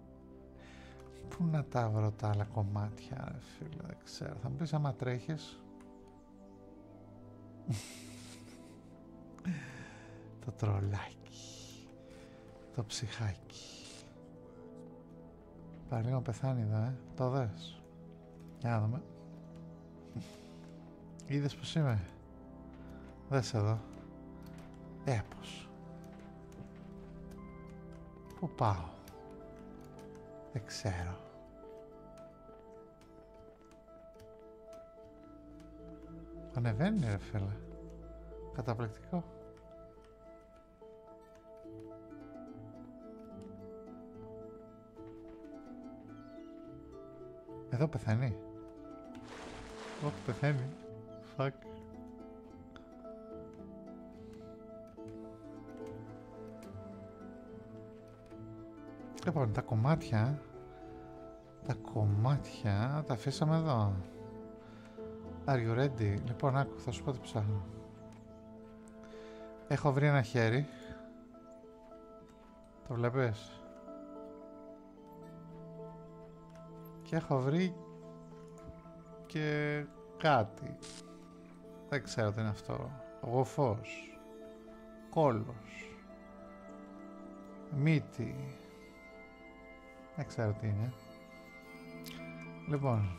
Πού να τα βρω τα άλλα κομμάτια, φίλε, δεν ξέρω. Θα μου πεις άμα τρέχεις. το τρολάκι. Το ψυχάκι. Πάει λίγο πεθάνει εδώ, ε. Το δες. Για να δούμε. Είδες πως είμαι. Δες εδώ. Έπως. Ε, Πού πάω. Δεν ξέρω. Ανεβαίνει ρε φίλε. Καταπληκτικό. Εδώ πεθαίνει. Όχι, πεθαίνει. Φακ. Λοιπόν, τα κομμάτια, τα κομμάτια τα αφήσαμε εδώ. Are you ready? Λοιπόν, άκου, θα σου πω τι ψάχνω. Έχω βρει ένα χέρι. Το βλέπεις. Και έχω βρει και κάτι. Δεν ξέρω τι είναι αυτό. Γοφός. Κόλος. Μύτη. Δεν ξέρω τι είναι. Λοιπόν,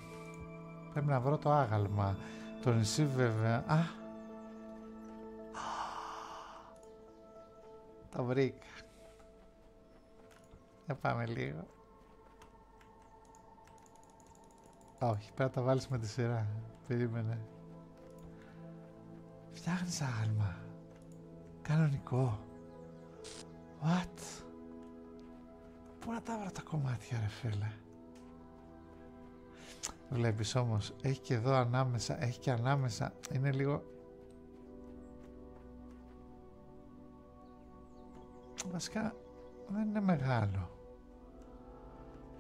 πρέπει να βρω το άγαλμα. Το νησί βέβαια... Α! Το βρήκα. Για πάμε λίγο. Όχι, πρέπει τα βάλεις με τη σειρά. Περίμενε. Φτιάχνεις άλμα. Κανονικό. What? Πού να τα βρω τα κομμάτια ρε φίλε. Βλέπεις όμως, έχει και εδώ ανάμεσα, έχει και ανάμεσα. Είναι λίγο... Βασικά δεν είναι μεγάλο.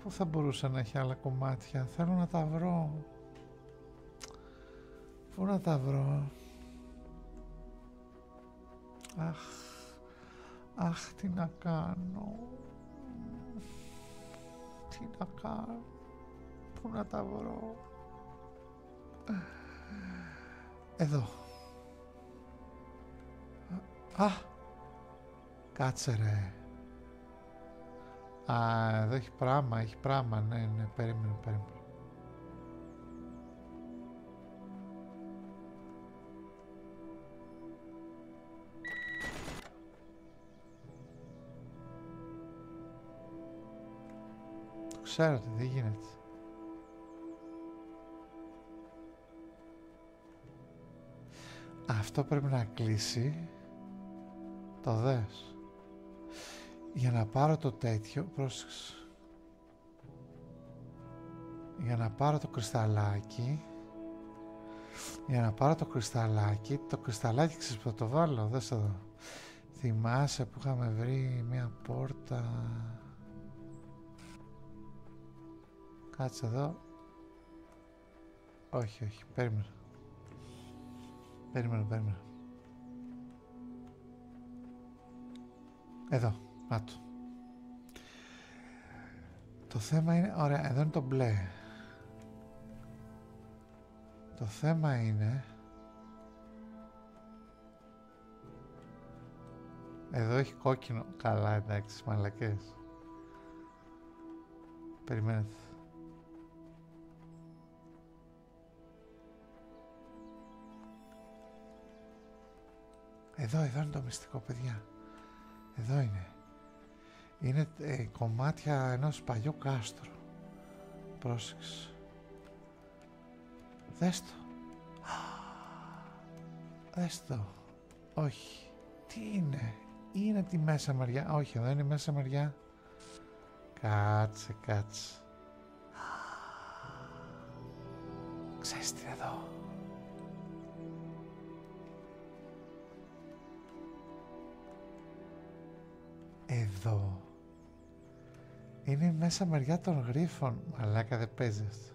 Πού θα μπορούσα να έχει άλλα κομμάτια. Θέλω να τα βρω. Πού να τα βρω. Αχ. Αχ, τι να κάνω. Τι να κάνω. Πού να τα βρω. Εδώ. Α, κάτσε Α, εδώ έχει πράγμα, έχει πράγμα, ναι, ναι, περίμενε, περίμενε. Το ξέρω δεν γίνεται. Αυτό πρέπει να κλείσει. Το δες. Για να πάρω το τέτοιο, πρόσεξε. Για να πάρω το κρυσταλάκι, για να πάρω το κρυσταλάκι, το κρυσταλάκι ξέρεις που το βάλω, δες εδώ. Θυμάσαι που είχαμε βρει μια πόρτα Κάτσε εδώ. Όχι, όχι. Περίμενα. Περίμενα, περίμενα. Εδώ. Να το. Το θέμα είναι... Ωραία, εδώ είναι το μπλε. Το θέμα είναι... Εδώ έχει κόκκινο. Καλά, εντάξει, μαλακές. Περιμένετε. Εδώ, εδώ είναι το μυστικό, παιδιά. Εδώ είναι. Είναι ε, κομμάτια ενός παλιού κάστρου. Πρόσεξε. Δες το. Δες το. Όχι. Τι είναι. Είναι τη μέσα μεριά. Όχι, εδώ είναι μέσα μεριά. Κάτσε, κάτσε. Ξέρεις τι εδώ. Εδώ. Είναι μέσα μεριά των γρίφων. Μαλάκα δεν παίζεις.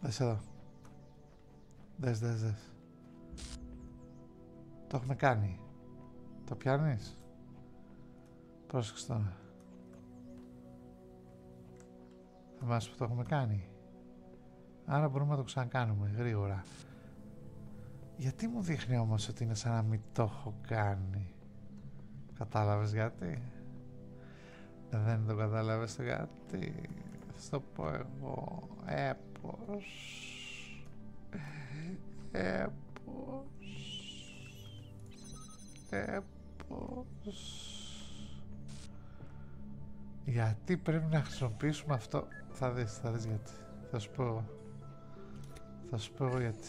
Δες εδώ. Δες, δες, δες. Το έχουμε κάνει. Το πιάνεις. Πρόσεξε τώρα. Θα μας που το έχουμε κάνει. Άρα μπορούμε να το ξανακάνουμε γρήγορα. Γιατί μου δείχνει όμως ότι είναι σαν να μην το έχω κάνει. Κατάλαβες γιατί. Δεν το κατάλαβες το γιατί. Θα το πω εγώ. Επω. επω Γιατί πρέπει να χρησιμοποιήσουμε αυτό. Θα δεις, θα δεις γιατί. Θα σου πω. Θα σου πω γιατί.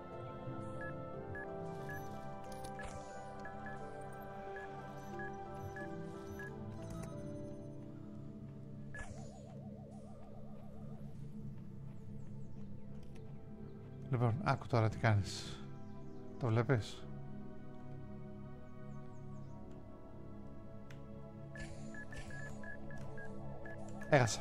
Λοιπόν, άκου τώρα τι κάνεις. Το βλέπεις. Έχασα.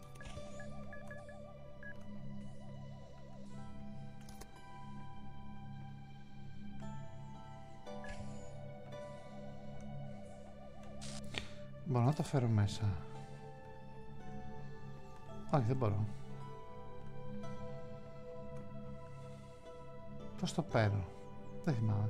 Μπορώ να τα φέρω μέσα. Όχι, δεν μπορώ. Πώς το παίρνω. Δεν θυμάμαι.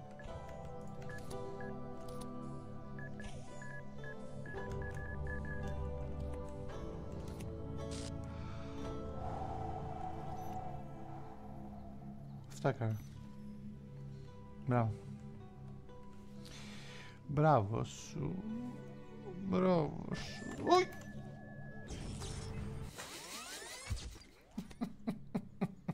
Wstakaj. Brawo. Brawo, su. Brawo, su. Oj!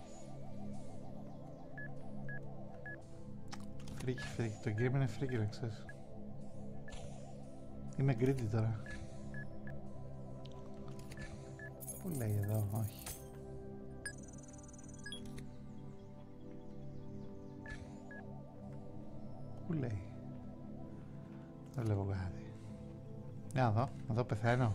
Φρίκι, φρίκι. Το game είναι φρίκι, να ξέρεις. Είμαι greedy τώρα. Πού λέει εδώ, όχι. Πού λέει. Δεν βλέπω κάτι. Να δω, να πεθαίνω.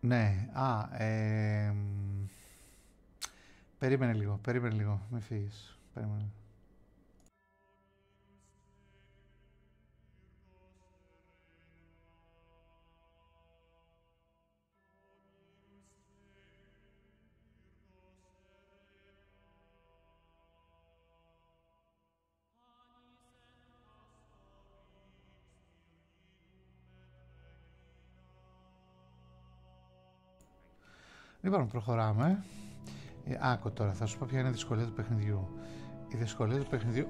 Ναι, α, περίμενε λίγο, περίμενε λίγο, μην φύγεις, περίμενε. Λοιπόν, προχωράμε. Ε, άκου τώρα, θα σου πω ποια είναι η δυσκολία του παιχνιδιού. Η δυσκολία του παιχνιδιού.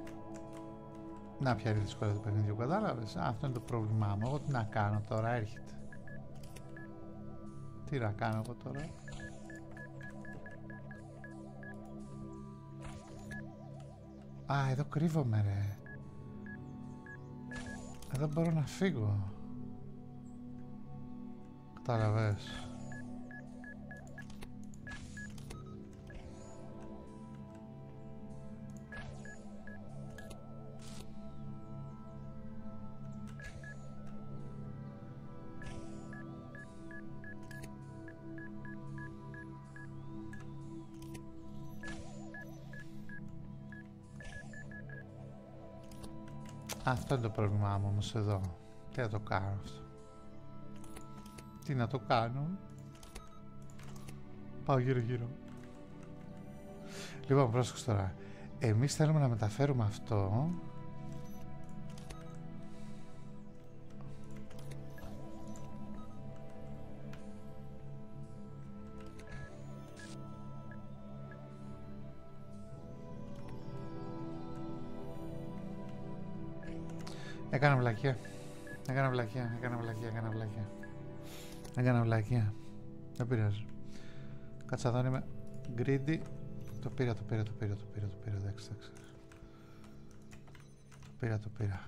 Να, ποια είναι η δυσκολία του παιχνιδιού, κατάλαβε. Αυτό είναι το πρόβλημά μου. Εγώ τι να κάνω τώρα, έρχεται. Τι να κάνω εγώ τώρα. Α, εδώ κρύβομαι ρε. Εδώ μπορώ να φύγω. Κατάλαβες. Αυτό είναι το πρόβλημά μου όμως εδώ. Τι να το κάνω αυτό. Τι να το κάνω. Πάω γύρω γύρω. Λοιπόν, πρόσεξε τώρα. Εμείς θέλουμε να μεταφέρουμε αυτό Έκανα βλακία. Έκανα βλακία, έκανα βλακία, έκανα βλακία. Έκανα βλακία. Δεν πειράζει. Κάτσα εδώ είμαι greedy. Το πήρα, το πήρα, το πήρα, το πήρα, το πήρα, εντάξει, εντάξει. Το πήρα, το πήρα.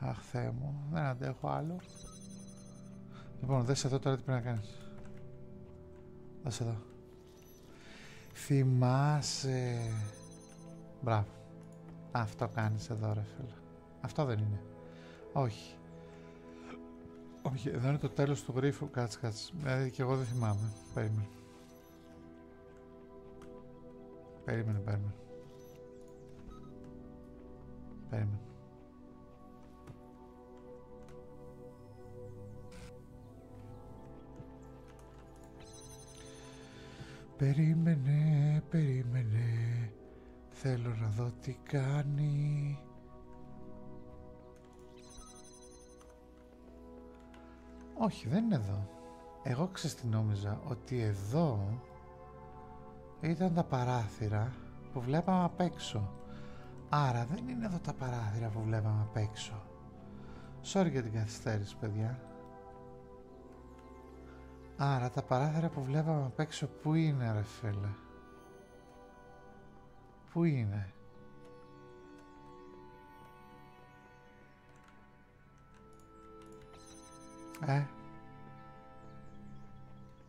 Αχ, Θεέ μου, δεν αντέχω άλλο. Λοιπόν, δες εδώ τώρα τι πρέπει να κάνεις. Δες εδώ. Θυμάσαι. Μπράβο. Αυτό κάνεις εδώ, ρε φίλε. Αυτό δεν είναι. Όχι. Όχι, εδώ είναι το τέλος του γρίφου. Κάτσε, κάτσε. Δηλαδή και εγώ δεν θυμάμαι. Περίμενε. Περίμενε, περίμενε. Περίμενε. Περίμενε, περίμενε. Θέλω να δω τι κάνει. Όχι, δεν είναι εδώ. Εγώ ξεστηνόμιζα ότι εδώ ήταν τα παράθυρα που βλέπαμε απ' έξω. Άρα δεν είναι εδώ τα παράθυρα που βλέπαμε απ' έξω. Sorry για την καθυστέρηση, παιδιά. Άρα τα παράθυρα που βλέπαμε απ' έξω πού είναι ρε Πού είναι. Ε.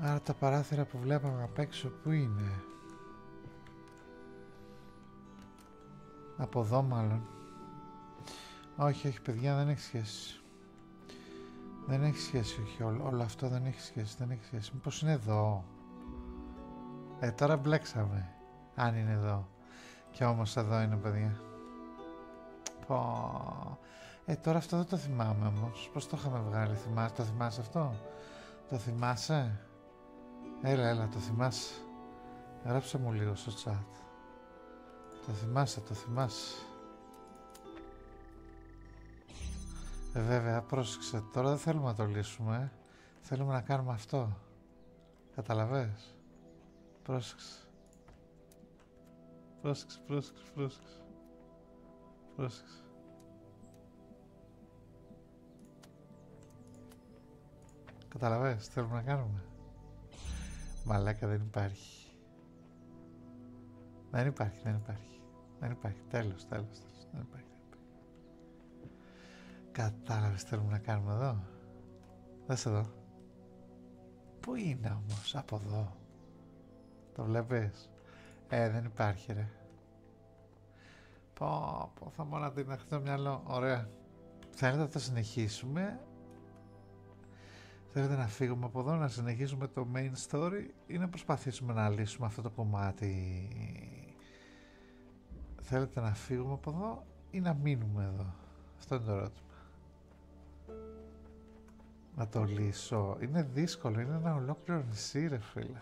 Άρα τα παράθυρα που βλέπαμε απ' έξω που είναι. Από εδώ μάλλον. Όχι, όχι παιδιά, δεν έχει σχέση. Δεν έχει σχέση, όχι όλο, αυτό δεν έχει σχέση, δεν έχει σχέση. Μήπως είναι εδώ. Ε, τώρα μπλέξαμε, αν είναι εδώ. Και όμως εδώ είναι, παιδιά. Πω. Ε, τώρα αυτό δεν το θυμάμαι όμως. Πώς το είχαμε βγάλει, το θυμάσαι αυτό. Το θυμάσαι? Έλα, έλα, το θυμάσαι. Γράψε μου λίγο στο chat. Το θυμάσαι, το θυμάσαι. Ε, βέβαια, πρόσεξε, τώρα δεν θέλουμε να το λύσουμε. Θέλουμε να κάνουμε αυτό. Καταλαβες. Πρόσεξε. Πρόσεξε, πρόσεξε, πρόσεξε. Πρόσεξε. τι θέλουμε να κάνουμε. Μαλάκα δεν υπάρχει. Δεν υπάρχει, δεν υπάρχει. Δεν υπάρχει. Τέλος, τέλος, τέλος. Δεν υπάρχει, Κατάλαβε τι θέλουμε να κάνουμε εδώ. Δες εδώ. Πού είναι όμως, από εδώ. Το βλέπεις. Ε, δεν υπάρχει, ρε. Πω, πω, θα μου την το μυαλό. Ωραία. Θέλετε να το συνεχίσουμε. Θέλετε να φύγουμε από εδώ, να συνεχίσουμε το main story ή να προσπαθήσουμε να λύσουμε αυτό το κομμάτι. Θέλετε να φύγουμε από εδώ ή να μείνουμε εδώ. Αυτό είναι το ερώτημα. Να το λύσω. Είναι δύσκολο, είναι ένα ολόκληρο νησί φίλε.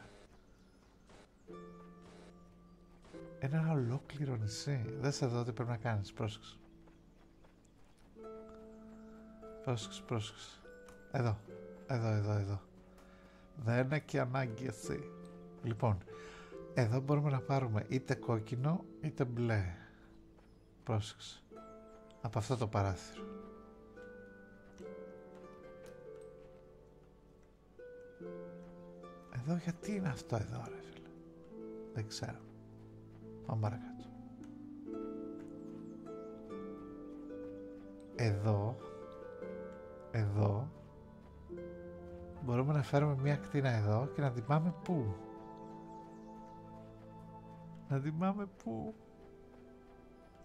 Ένα ολόκληρο νησί. Δεν σε δω τι πρέπει να κάνεις. Πρόσεξε. Πρόσεξε, πρόσεξε. Εδώ. Εδώ, εδώ, εδώ. Δεν είναι και ανάγκη αυτή. Λοιπόν, εδώ μπορούμε να πάρουμε είτε κόκκινο είτε μπλε. Πρόσεξε. Από αυτό το παράθυρο. Εδώ γιατί είναι αυτό εδώ ρε φίλε. Δεν ξέρω. Πάμε Εδώ, εδώ, μπορούμε να φέρουμε μια κτίνα εδώ και να την πού. Να την πού.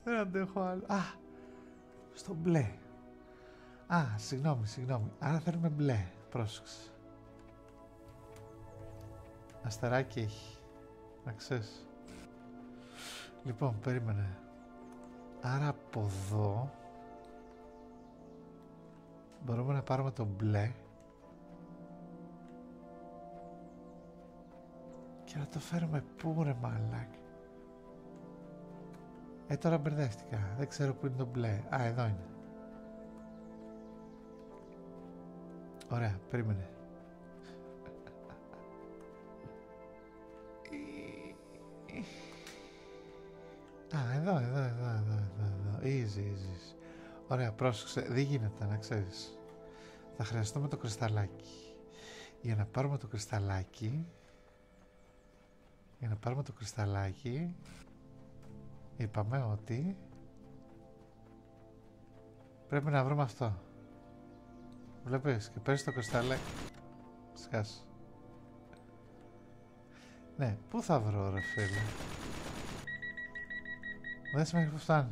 Δεν αντέχω άλλο. Α, στο μπλε. Α, συγγνώμη, συγγνώμη. Άρα θέλουμε μπλε. Πρόσεξε. Αστεράκι έχει. Να ξέρεις. Λοιπόν, περίμενε. Άρα από εδώ μπορούμε να πάρουμε το μπλε και να το φέρουμε πού ρε μαλάκι. Ε, τώρα μπερδεύτηκα. Δεν ξέρω πού είναι το μπλε. Α, εδώ είναι. Ωραία, περίμενε. Α, εδώ, εδώ, εδώ, εδώ, εδώ, Easy, easy. Ωραία, πρόσεξε. Δεν γίνεται, να ξέρεις. Θα χρειαστούμε το κρυσταλάκι για να πάρουμε το κρυσταλάκι για να πάρουμε το κρυσταλάκι είπαμε ότι πρέπει να βρούμε αυτό βλέπεις και παίρνεις το κρυσταλάκι σκάς ναι, πού θα βρω ρε φίλε δεν σημαίνει που φτάνει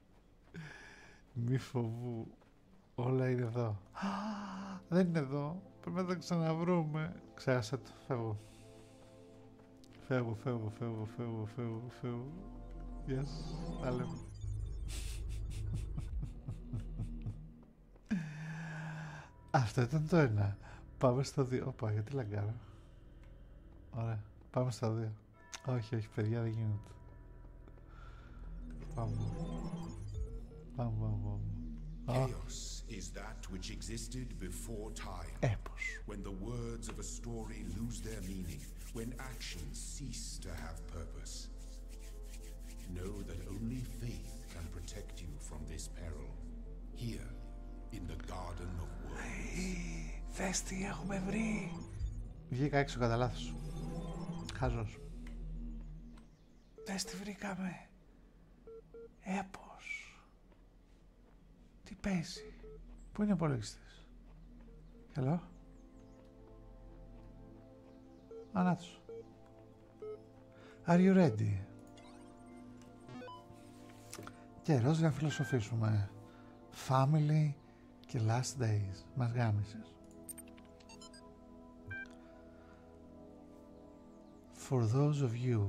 Μη φοβού. Όλα είναι εδώ. Δεν είναι εδώ. Πρέπει να τα ξαναβρούμε. Ξέχασα το. Φεύγω. Φεύγω, φεύγω, φεύγω, φεύγω, φεύγω, φεύγω. Γεια σας. Τα Αυτό ήταν το ένα. Πάμε στο δύο. Όπα, γιατί λαγκάρω. Ωραία. Πάμε στα δύο. Όχι, όχι, παιδιά, δεν γίνεται. Ah. Chaos is that which existed before time. When the words of a story lose their meaning, when actions cease to have purpose. Know that only faith can protect you from this peril. Here, in the Garden of Worlds. Hey, θες τι έχουμε βρει. Βγήκα έξω κατά λάθος. Χάζος. Δες τι βρήκαμε. Έπος. Τι παίζει. Πού είναι ο υπολογιστή. Καλό. Ανάτος. Are you ready? Καιρός για να φιλοσοφήσουμε. Family, The last days. Μας γάμισες. For those of you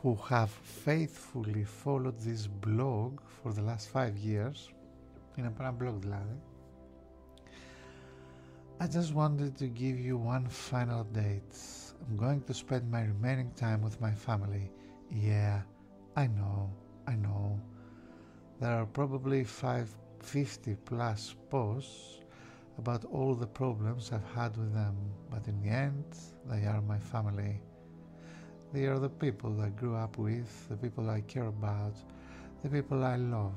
who have faithfully followed this blog for the last five years, είναι a ένα blog δηλαδή, I just wanted to give you one final update. I'm going to spend my remaining time with my family. Yeah, I know, I know. There are probably 550 plus posts about all the problems I've had with them, but in the end, they are my family. They are the people I grew up with, the people I care about, the people I love.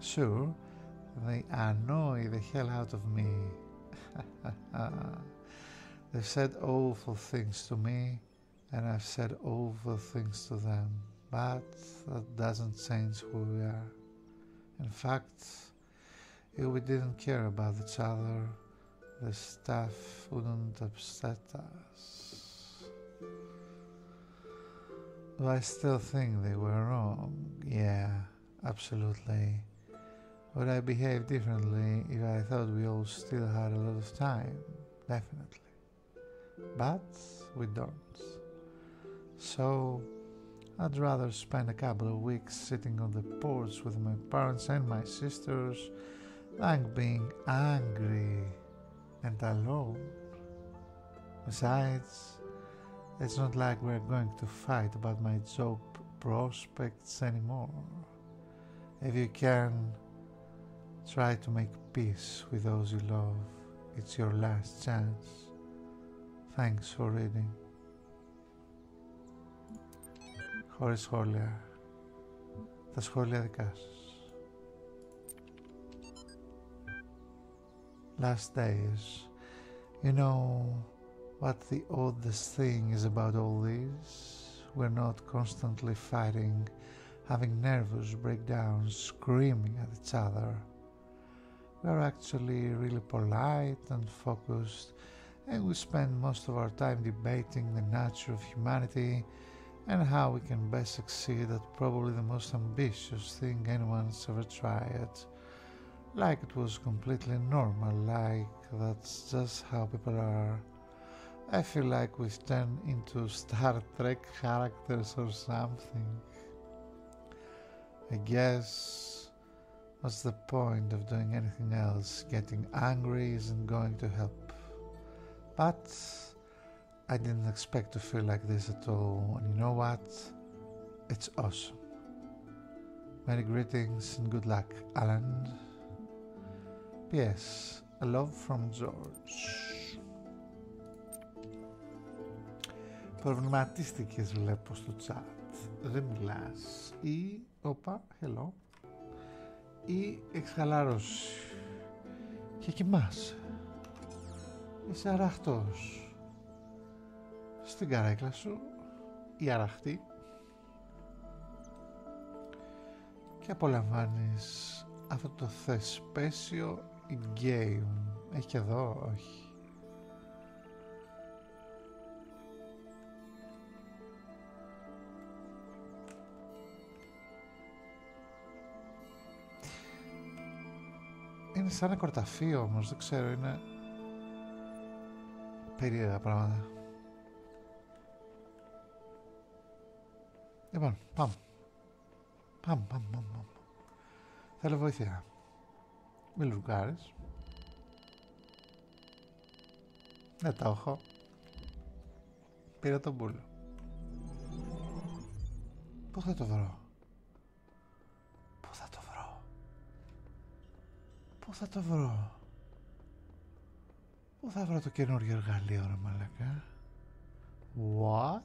Sure, they annoy the hell out of me. They've said awful things to me, and I've said awful things to them, but that doesn't change who we are. In fact, if we didn't care about each other, the stuff wouldn't upset us. I still think they were wrong? Yeah, absolutely. Would I behave differently if I thought we all still had a lot of time? Definitely but we don't. So I'd rather spend a couple of weeks sitting on the porch with my parents and my sisters than being angry and alone. Besides, it's not like we're going to fight about my job prospects anymore. If you can Try to make peace with those you love. It's your last chance. Thanks for reading. Horace σχόλια. Τα σχόλια δικά Last days. You know what the oddest thing is about all this? We're not constantly fighting having nervous breakdowns, screaming at each other. We are actually really polite and focused, and we spend most of our time debating the nature of humanity and how we can best succeed at probably the most ambitious thing anyone's ever tried. Like it was completely normal, like that's just how people are. I feel like we've turned into Star Star characters or something. I guess what's the point of doing anything else? Getting angry isn't going to help. But I didn't expect to feel like this at all, and you know what? It's awesome. Many greetings and good luck, Alan. P.S. A Love from George. Προβληματίστηκες βλέπω στο chat. Δεν μιλάς. Ή, όπα, hello. Ή εξχαλάρωση. Και κοιμάσαι. Είσαι αραχτός. Στην καρέκλα σου, η αραχτή. Και απολαμβάνεις αυτό το θεσπέσιο Game. Έχει εδώ, όχι. Είναι σαν ένα κορταφεί όμω δεν ξέρω, είναι περίεργα πράγματα. Λοιπόν, πάμε. Παμ, παμ, παμ, Θέλω βοήθεια. Μη Δεν ναι, τα έχω. Πήρα τον μπούλο. Πού θα το βρω. Πού θα το βρω. Πού θα το βρω. Πού θα βρω το καινούργιο εργαλείο, ρε μαλακά. What?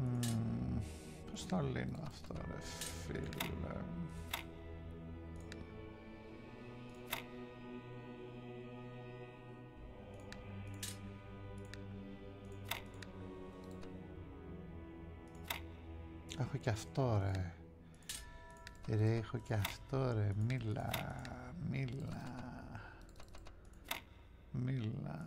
Mm, πώς τα λύνω αυτά ρε φίλε. Έχω και αυτό ρε. έχω και αυτό ρε. Μίλα, μίλα. Μίλα.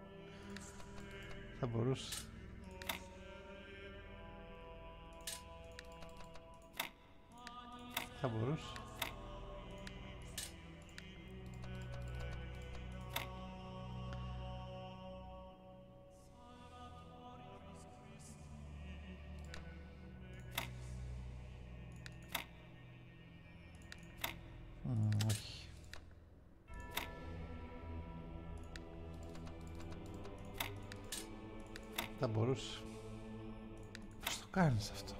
Θα μπορούσε. Θα μπορούσε. Θα μπορούσε. Πώς το κάνεις αυτό.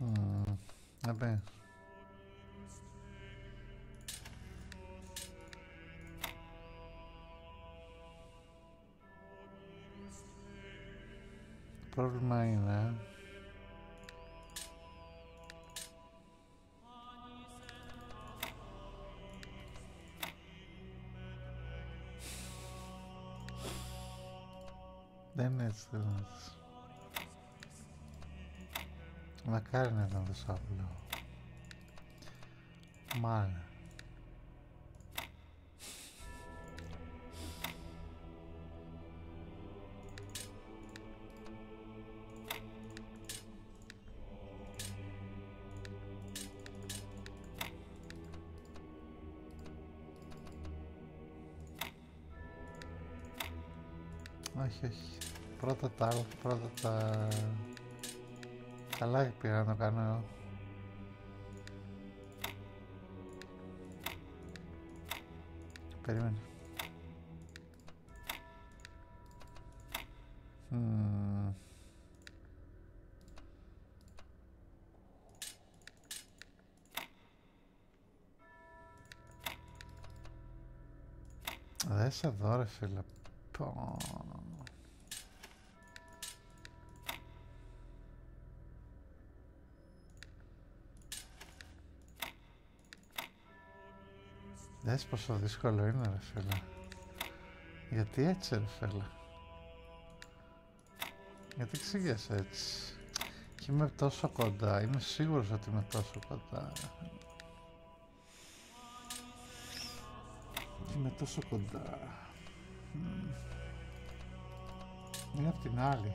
Hum, é bem. Problema aí, né? Δεν έτσι θέλω Μακάρι να ήταν τόσο Μάλλον. Όχι, όχι. Πρώτα τα άλλα, πρώτα τα... Τα λάγη να το κάνω Περίμενε. Δες εδώ ρε φίλε. Δες πόσο δύσκολο είναι ρε φίλε. Γιατί έτσι ρε Γιατί ξύγεσαι έτσι. Και είμαι τόσο κοντά. Είμαι σίγουρος ότι είμαι τόσο κοντά. Είμαι τόσο κοντά. Είναι απ' την άλλη.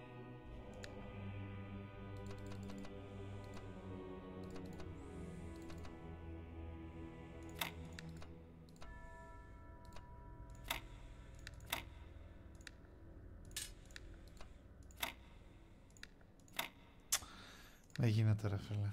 Δεν γίνεται ρε φίλε.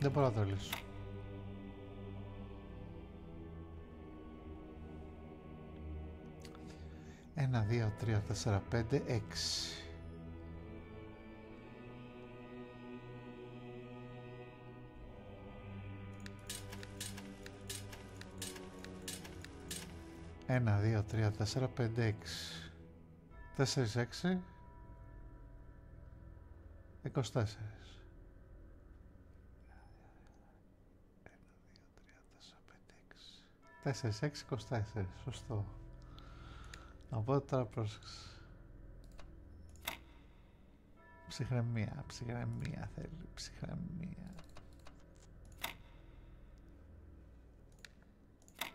Δεν μπορώ να το λύσω. Ένα, δύο, τρία, τέσσερα, πέντε, έξι. Ένα, δύο, τρία, τέσσερα, πέντε, έξι. 4-6 24 4-6-24, σωστό. Οπότε τώρα πρόσεξε. Ψυχραιμία, ψυχραιμία θέλει, ψυχραιμία.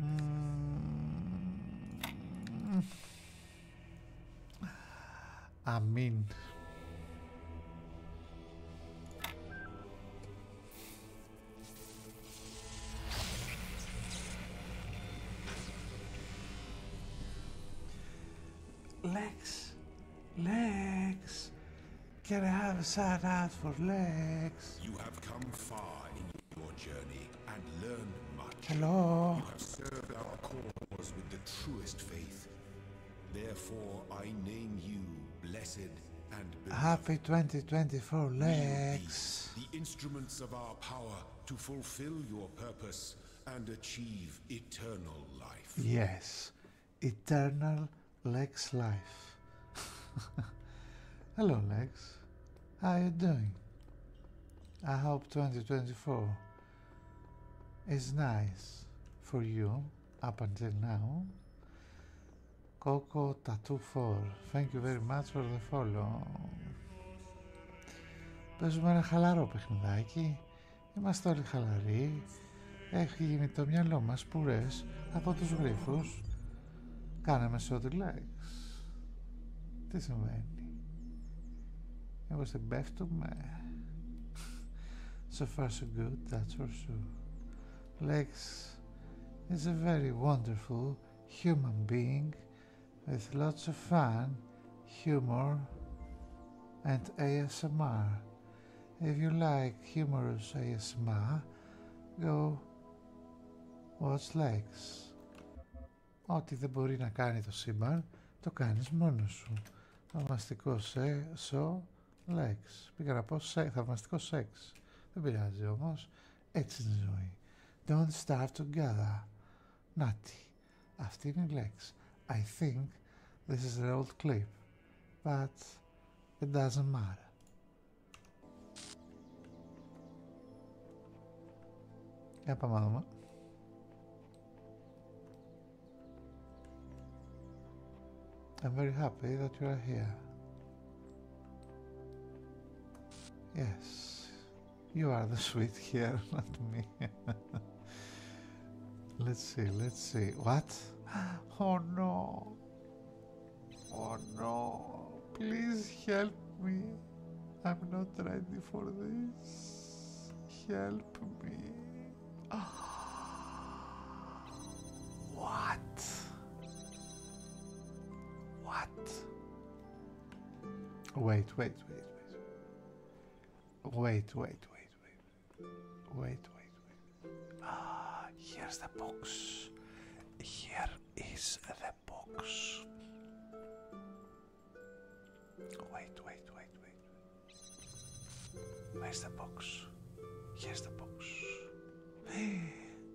Mm. I mean... Lex, Lex, can I have a side out for legs? You have come far your journey and learn much. Hello. You have served our cause with the truest faith. Therefore, I name you blessed and Happy 2024, Lex. The instruments of our power to fulfill your purpose and achieve eternal life. Yes, eternal Lex life. Hello, Lex. How are you doing? I hope 2024 is nice for you up until now. Coco Tattoo for. Thank you very much for the follow. Παίζουμε ένα χαλαρό παιχνιδάκι. Είμαστε όλοι χαλαροί. Έχει γίνει το μυαλό μας πουρές από τους γρίφους Legs? Κάναμε short relax. Τι συμβαίνει. Εγώ στην πέφτουμε. So far so good, that's for sure. Legs is a very wonderful human being with lots of fun, humor, and ASMR. If you like humorous ASMR, go What's legs, Ό,τι δεν μπορεί να κάνει το σύμπαν, το κάνεις μόνος σου. Θαυμαστικό σε, σο, likes. Πήγα να πω σε, θαυμαστικό σεξ. Δεν πειράζει όμως. Έτσι είναι η ζωή. Don't starve together. Νάτι. Αυτή είναι η λέξη. I think this is an old clip. But it doesn't matter. Yapamam I'm very happy that you are here. Yes, you are the sweet here, not me. let's see, let's see. What? Oh no! Oh no, please help me. I'm not ready for this. Help me. what? What? Wait, wait, wait, wait. Wait, wait, wait, wait. Wait, wait, wait. Ah, here's the box. Here is the Wait, wait, wait, wait. Where's the box? Here's the box.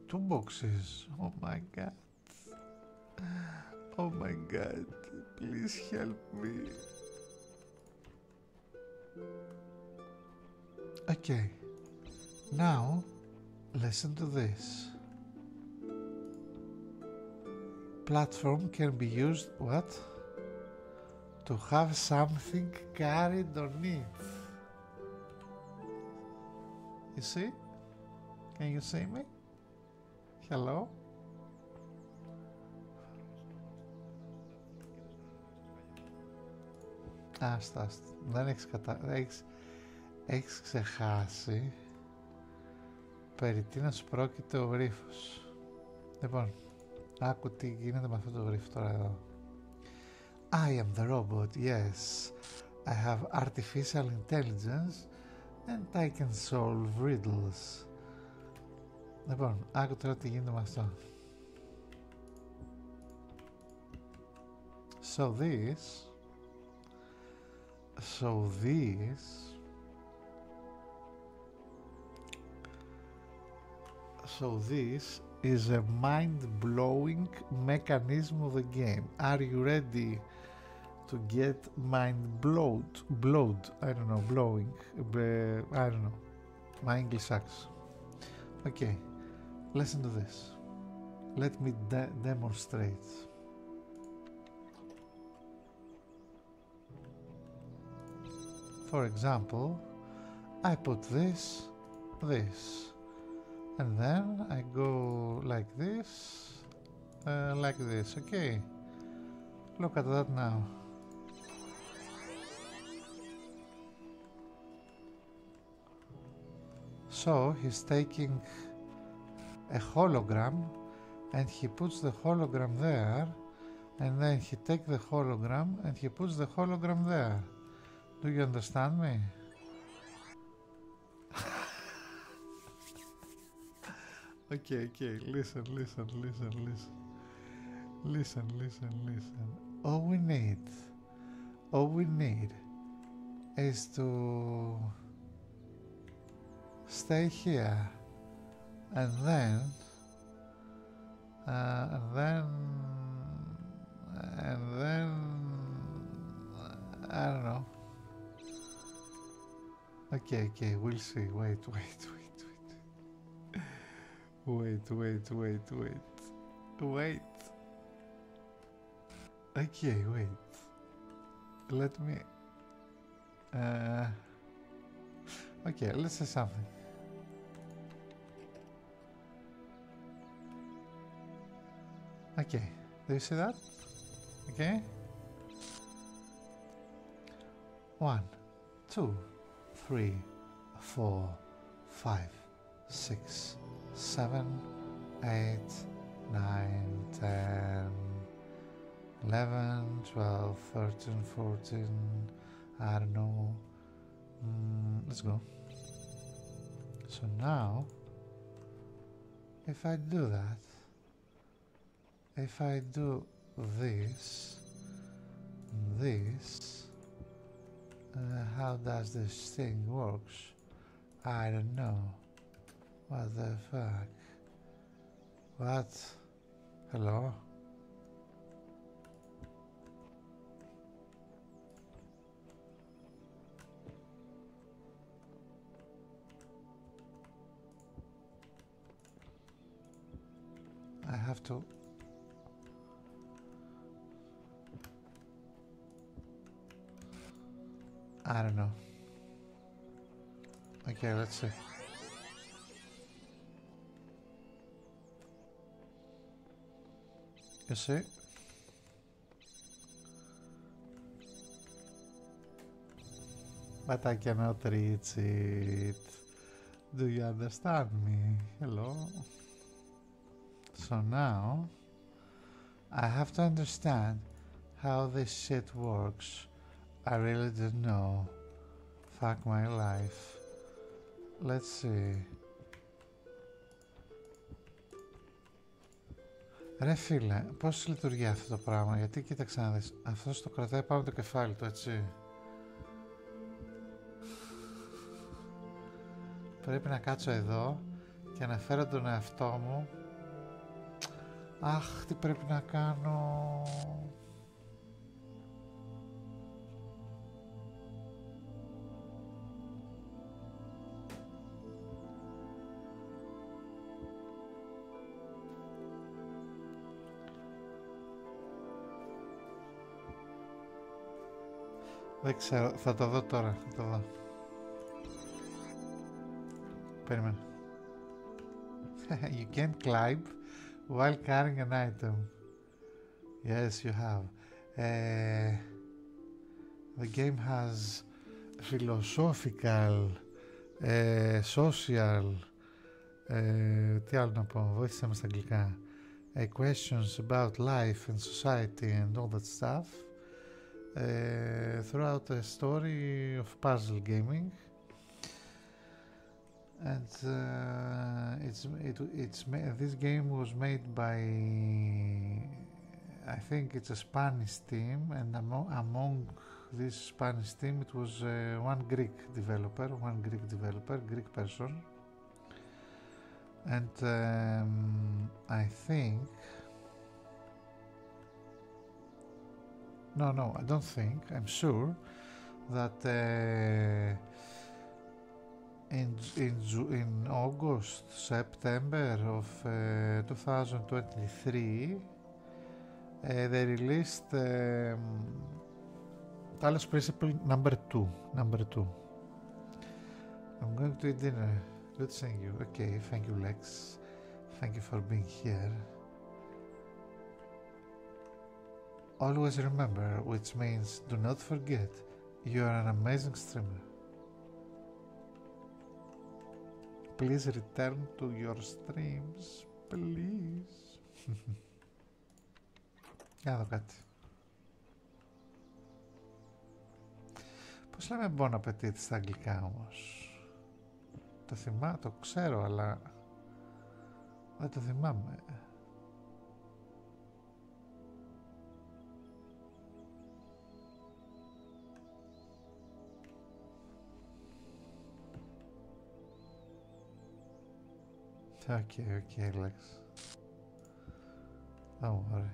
Two boxes. Oh my god. Oh my god. Please help me. Okay. Now Listen to this. Platform can be used what? To have something carried on it. You see? Can you see me? Hello? Άστα, άστα. Δεν έχεις, έχει ξεχάσει περί σου πρόκειται ο γρίφος. Λοιπόν, άκου τι γίνεται με αυτό το γρίφο τώρα εδώ. I am the robot, yes. I have artificial intelligence and I can solve riddles. Λοιπόν, άκου τώρα τι γίνεται με αυτό. So this, so this, so this is a mind-blowing mechanism of the game. Are you ready to get mind blowed? Blowed? I don't know. Blowing? I don't know. My English sucks. Okay, listen to this. Let me demonstrate. For example, I put this, this, and then I go like this, uh, like this, okay. Look at that now. So he's taking a hologram and he puts the hologram there and then he takes the hologram and he puts the hologram there. Do you understand me? okay, okay, listen, listen, listen, listen. Listen, listen, listen. All we need all we need is to stay here and then uh, and then and then I don't know okay okay we'll see wait wait wait wait wait wait wait wait wait Okay, wait. Let me... Uh, okay, let's say something. Okay, do you see that? Okay. One, two, three, four, five, six six, seven, eight, nine, ten, eleven, twelve, thirteen, fourteen. I don't know. Mm, let's go. So now, if I do that, if I do this, this, uh, how does this thing works? I don't know. What the fuck? What? Hello? I have to I don't know. Okay, let's see. You see? But I cannot reach it. Do you understand me? Hello? So now... I have to understand how this shit works. I really don't know. Fuck my life. Let's see. Ρε φίλε, πώς λειτουργεί αυτό το πράγμα, γιατί κοίταξε να δεις, αυτός το κρατάει πάνω το κεφάλι του, έτσι. Πρέπει να κάτσω εδώ και αναφέρω τον εαυτό μου Αχ, τι πρέπει να κάνω... Δεν ξέρω, θα το δω τώρα, θα το δω. Περίμενε. you can climb while carrying an item. Yes, you have. Eh, the game has philosophical, eh, social, uh, τι άλλο να πω, βοήθησέ questions about life and society and all that stuff. throughout the story of puzzle gaming. And it's it's this game was made by I think it's a Spanish team, and among, this Spanish team, it was one Greek developer, one Greek developer, Greek person. And I think No, no, I don't think. I'm sure that in, in, in August, September of 2023, uh, they released um, Principle number two. Number two. I'm going to eat dinner. Good seeing you. Okay, thank you, Lex. Thank you for being here. Always remember, which means do not forget, you are an amazing streamer. Please return to your streams, please. Για να το Πώς λέμε bon appetit στα αγγλικά όμως. Το θυμάμαι, το ξέρω, αλλά δεν το θυμάμαι. Οκ, οκ, Lex. Don't worry.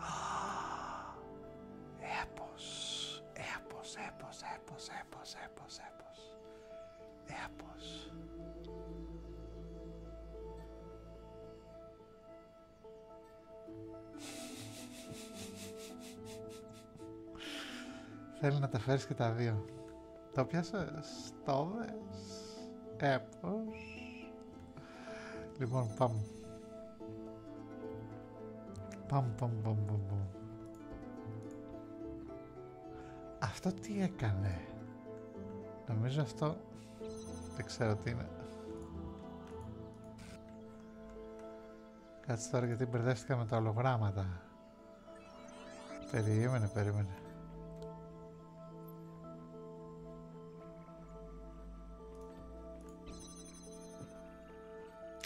Ah, έπος, έπος, έπος, έπος, έπος, έπος, έπος, έπος. να τα φέρεις και τα δύο τα οποία το στόβες, έπως! Λοιπόν, πάμ! Πάμε, πάμε, πάμε, πάμε. Αυτό τι έκανε. Νομίζω αυτό δεν ξέρω τι είναι. Κάτσε τώρα γιατί μπερδεύτηκα με τα ολογράμματα. Περίμενε, περίμενε.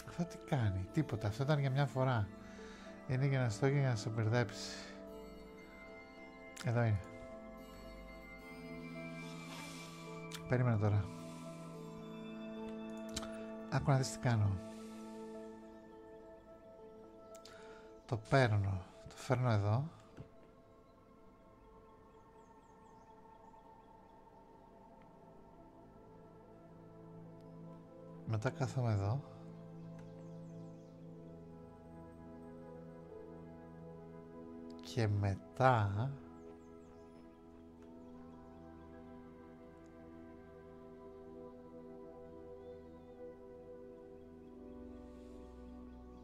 Αυτό τι κάνει, τίποτα. Αυτό ήταν για μια φορά. Είναι για να και για να σε μπερδέψει. Εδώ είναι. Περίμενα τώρα. Άκου να δεις τι κάνω. Το παίρνω. Το φέρνω εδώ. Μετά κάθομαι εδώ. Και μετά...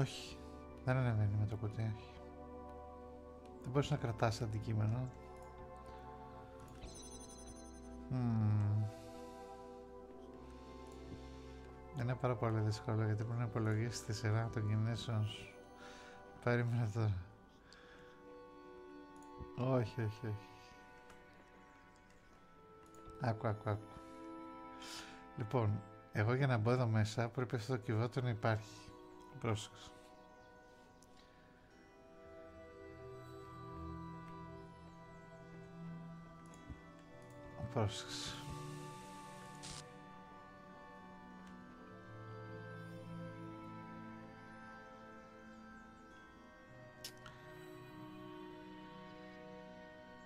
Όχι. Δεν είναι ναι, ναι, ναι, με το κουτί, Δεν μπορείς να κρατάς αντικείμενο. Mm. Είναι πάρα πολύ δύσκολο γιατί πρέπει να υπολογίσει τη σειρά των κινήσεων σου. Περίμενε τώρα. Όχι, όχι, όχι. Άκου, άκου, άκου. Λοιπόν, εγώ για να μπω εδώ μέσα πρέπει αυτό το να υπάρχει. Πρόσεξε. Πρόσεξε.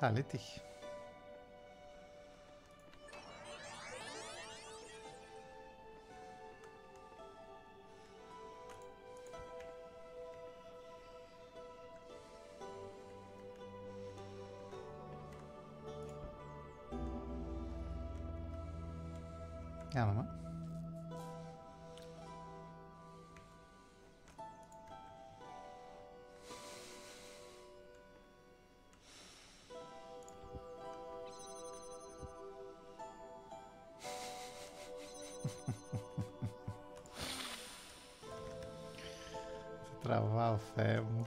Καλή τύχη. Ela, é, é? mı? Travar o ferro.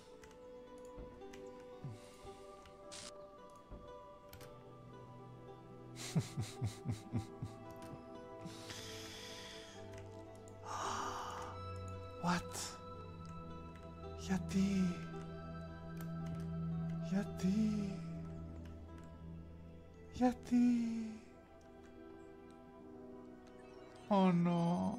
what? Yeti. Yeti. Yeti. Oh no.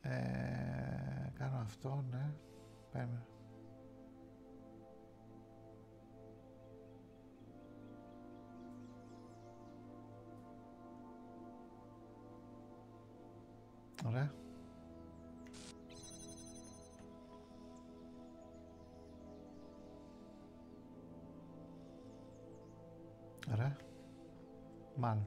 ε, κάνω αυτό, ναι. Περίμενα. Ωραία. Ωραία. Μάλλον.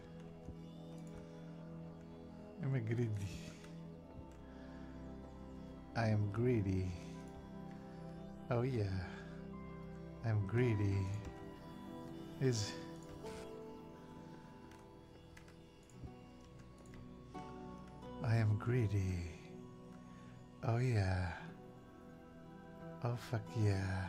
I'm a greedy. I am greedy. Oh yeah. I'm greedy. Is I am greedy. Oh yeah. Oh fuck yeah.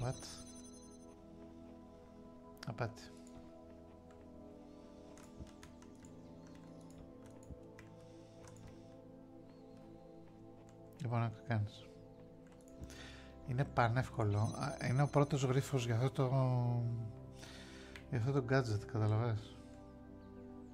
What? Απάτη. Λοιπόν, να κάνεις. Είναι πανεύκολο. Είναι ο πρώτος γρίφος για αυτό το... για αυτό το gadget, καταλαβαίνεις.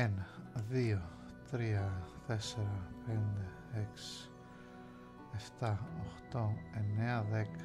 Ένα, δύο, τρία, τέσσερα, πέντε, έξι, εφτά, οχτώ, εννέα, δέκα.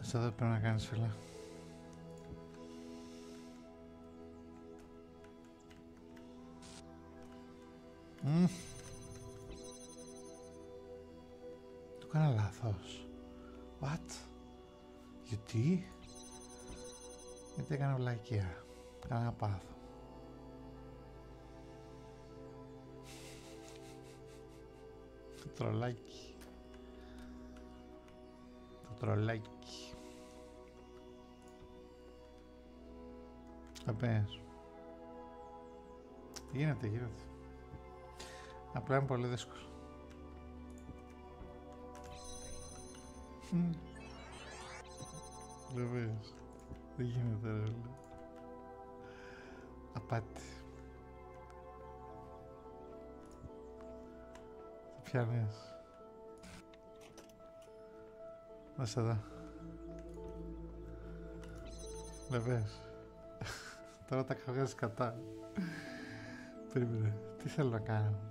Αυτά δεν πρέπει να κάνεις φίλε. Mm. Το κάνα λάθος. What? Γιατί, γιατί έκανα βλακεία, έκανα πάθο. Το τρολάκι. Το τρολάκι. Τι Γίνεται, γίνεται. Απλά είναι πολύ δύσκολο. Βεβαίως. Δεν γίνεται ρε Απάτη. Τι πιάνεις. Να σε δω. Βεβαίως. Τώρα τα καβγάζεις κατά. Περίμενε. Τι θέλω να κάνω.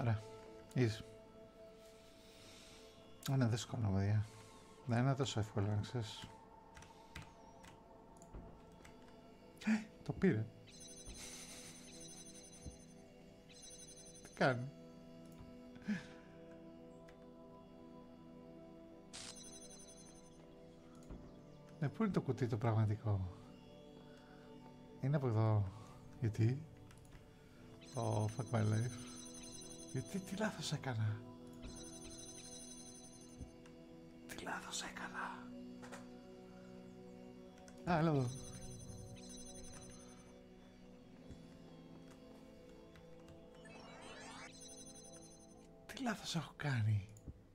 Ωραία. Είδες. Είναι δύσκολο, παιδιά. Δεν είναι τόσο εύκολο, να ξέρεις. Ε, το πήρε. Τι κάνει. Ναι, πού είναι το κουτί το πραγματικό. Είναι από εδώ. Γιατί. Oh, fuck my life. Γιατί, τι λάθος έκανα. Τι λάθος έκανα. Α, έλα εδώ. Τι λάθος έχω κάνει.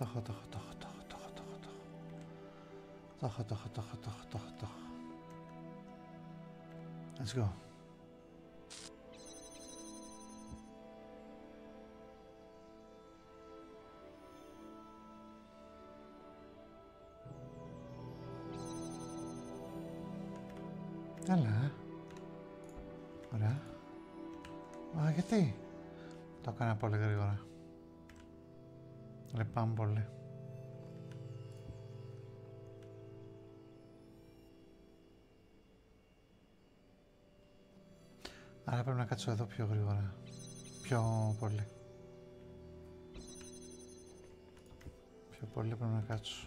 طخ طخ طخ طخ طخ طخ طخ طخ طخ طخ طخ طخ طخ Let's go. Hello. Hola. Μα γιατί. Το έκανα πολύ γρήγορα. Λυπάμαι πολύ. Άρα πρέπει να κάτσω εδώ πιο γρήγορα. Πιο πολύ. Πιο πολύ πρέπει να κάτσω.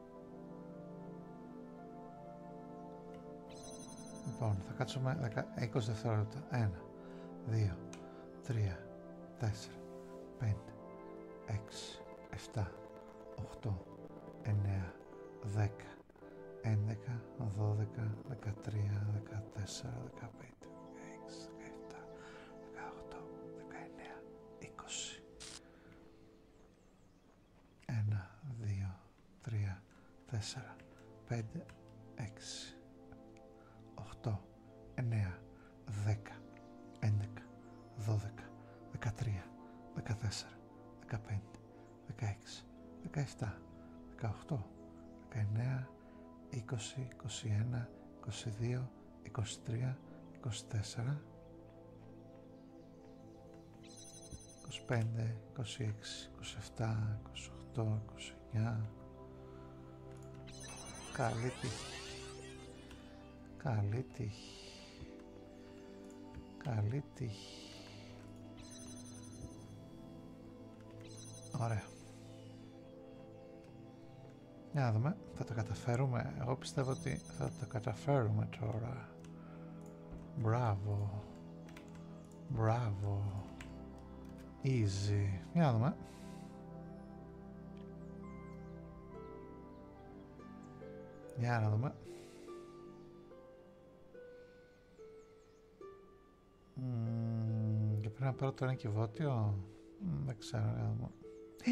Λοιπόν, θα κάτσουμε 20 δευτερόλεπτα. 1, 2, 3, 4, 5, 6, 7, 8, 9, 10, 11, 12, 13, 14, 15. 18, 19, 20. 1, 2, 3, 4, 5, 6, 8, 9, 10, 11, 12, 13, 14, 15, 16, 17, 18, 19, 20, 21, 22, 23, 24. 25, 26, 27, 28, 29 Καλή τύχη Καλή τύχη Καλή τύχη Ωραία Για να δούμε, θα τα καταφέρουμε Εγώ πιστεύω ότι θα τα καταφέρουμε τώρα Μπράβο. Μπράβο. Easy. Για να δούμε. Για να δούμε. και πρέπει να πάρω τώρα και βότιο, δεν ξέρω. Για να δούμε. Ε!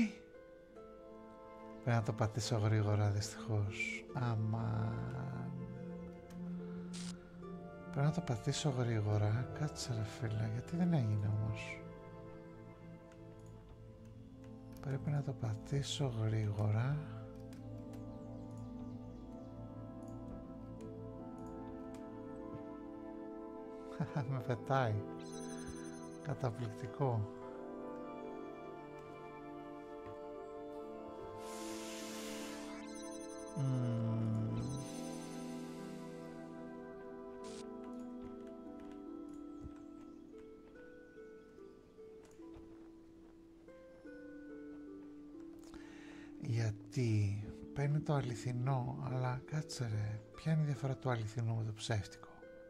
Πρέπει να το πατήσω γρήγορα δυστυχώς. αμα Πρέπει να το πατήσω γρήγορα. Κάτσε ρε φίλα, γιατί δεν έγινε όμως. Πρέπει να το πατήσω γρήγορα. Με πετάει. Καταπληκτικό. Γιατί παίρνει το αληθινό, αλλά κάτσε ρε, ποια είναι η διαφορά του αληθινού με το ψεύτικο.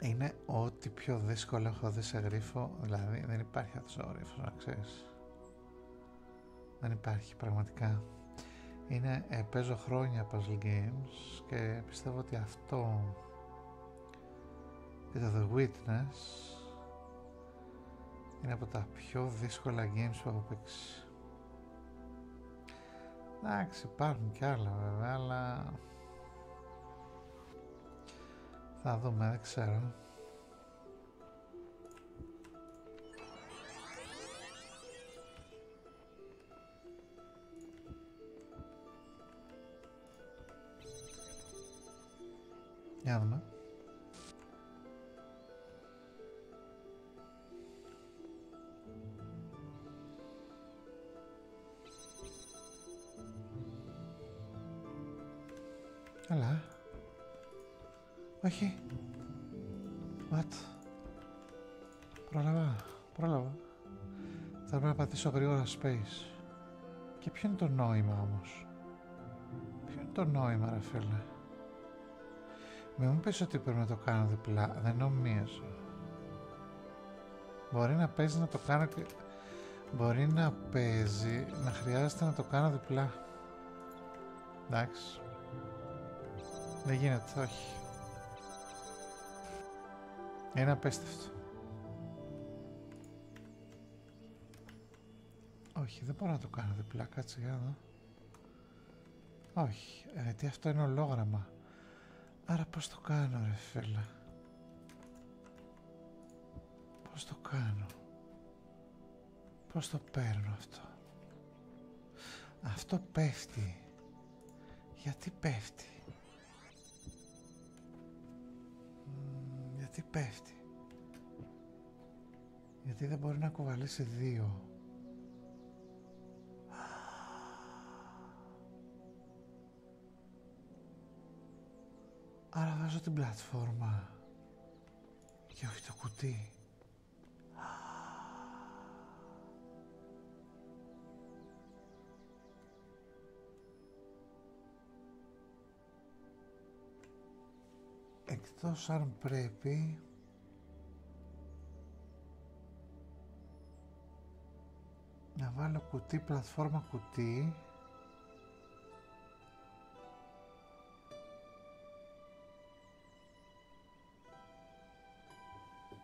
Είναι ό,τι πιο δύσκολο έχω δει σε γρίφο, δηλαδή δεν υπάρχει αυτός ο να ξέρεις. Δεν υπάρχει πραγματικά. Είναι, ε, παίζω χρόνια puzzle games και πιστεύω ότι αυτό το The Witness είναι από τα πιο δύσκολα games που έχω παίξει. Εντάξει, υπάρχουν κι άλλα βέβαια, αλλά θα δούμε, δεν ξέρω. Για δούμε. Αλλά... Ε. Όχι. what, Πρόλαβα. Πρόλαβα. Θα πρέπει να πατήσω γρήγορα space. Και ποιο είναι το νόημα όμως. Ποιο είναι το νόημα ρε φίλε. Μην μου πεις ότι πρέπει να το κάνω διπλά. Δεν νομίζω. Μπορεί να παίζει να το κάνω Μπορεί να παίζει να χρειάζεται να το κάνω διπλά. Εντάξει. Δεν γίνεται, όχι. Είναι απέστευτο. Όχι, δεν μπορώ να το κάνω διπλά, κάτσε για να Όχι, γιατί ε, αυτό είναι ολόγραμμα. Άρα πώς το κάνω ρε φίλε. Πώς το κάνω. Πώς το παίρνω αυτό. Αυτό πέφτει. Γιατί πέφτει. γιατί πέφτει. Γιατί δεν μπορεί να κουβαλήσει δύο. Άρα βάζω την πλατφόρμα και όχι το κουτί. Εκτός αν πρέπει να βάλω κουτί, πλατφόρμα κουτί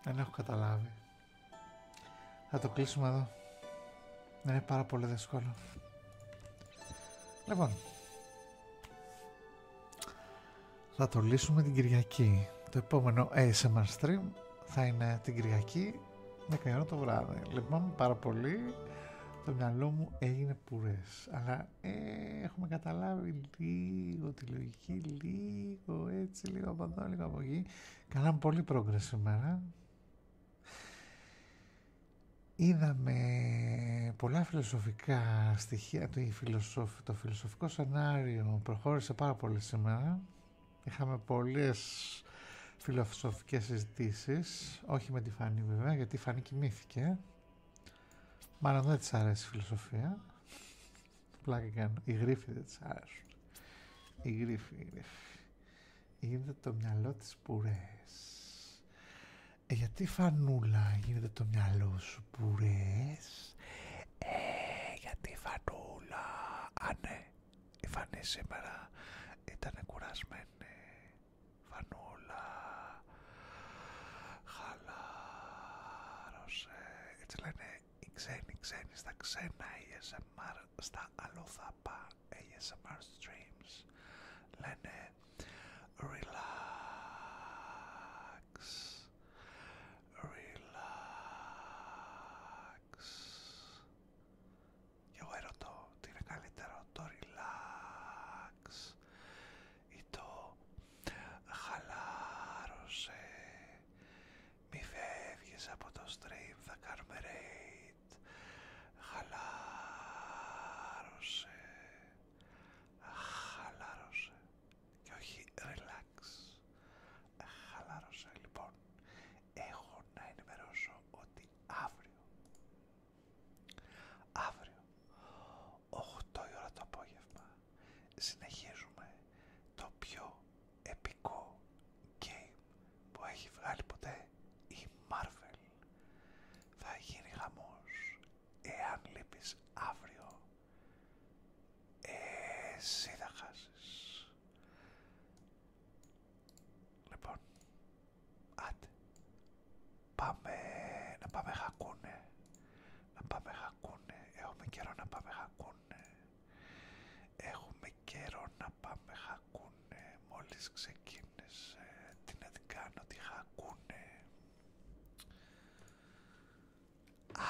δεν έχω καταλάβει θα το κλείσουμε εδώ δεν είναι πάρα πολύ δύσκολο λοιπόν θα το λύσουμε την Κυριακή το επόμενο ASMR stream θα είναι την Κυριακή με το βράδυ. Λοιπόν, πάρα πολύ. Το μυαλό μου έγινε πουρές. Αλλά ε, έχουμε καταλάβει λίγο τη λογική, λίγο έτσι, λίγο από εδώ, λίγο από εκεί. Κάναμε πολύ πρόγκρες σήμερα. Είδαμε πολλά φιλοσοφικά στοιχεία. το φιλοσοφικό σενάριο προχώρησε πάρα πολύ σήμερα. Είχαμε πολλές φιλοσοφικές συζητήσεις, όχι με τη Φανή βέβαια, γιατί η Φανή κοιμήθηκε. Μάλλον δεν της αρέσει η φιλοσοφία. και κάνω. Οι γρίφοι δεν της αρέσουν. Οι γρίφοι, η Γίνεται το μυαλό της πουρές. Ε, γιατί φανούλα γίνεται το μυαλό σου πουρές. Ε, γιατί φανούλα. Α, ναι. Η Φανή σήμερα ήταν κουρασμένη. Φανούλα, χαλάρωσε. Έτσι λένε οι ξένοι, ξένοι στα ξένα ASMR, στα αλλοδαπά ASMR streams. Λένε relax, relax. Και εγώ ερωτώ τι είναι καλύτερο, το relax ή το χαλάρωσε. Μη φεύγεις από το stream, θα κάνουμε Χαλάρωσε. Χαλάρωσε. Και όχι relax χαλάρωσε. Λοιπόν, έχω να ενημερώσω ότι αύριο, αύριο, 8 η ώρα το απόγευμα, συνεχίζουμε το πιο επικό game που έχει βγάλει ποτέ η Marvel. Θα γίνει χαμός. Εάν λείπεις αύριο, ε, εσύ θα χάσεις. Λοιπόν, άντε, πάμε να πάμε χακούνε, να πάμε χακούνε, έχουμε καιρό να πάμε χακούνε, έχουμε καιρό να πάμε χακούνε, μόλις ξεκίνησε, τι να την κάνω, τι χακούνε.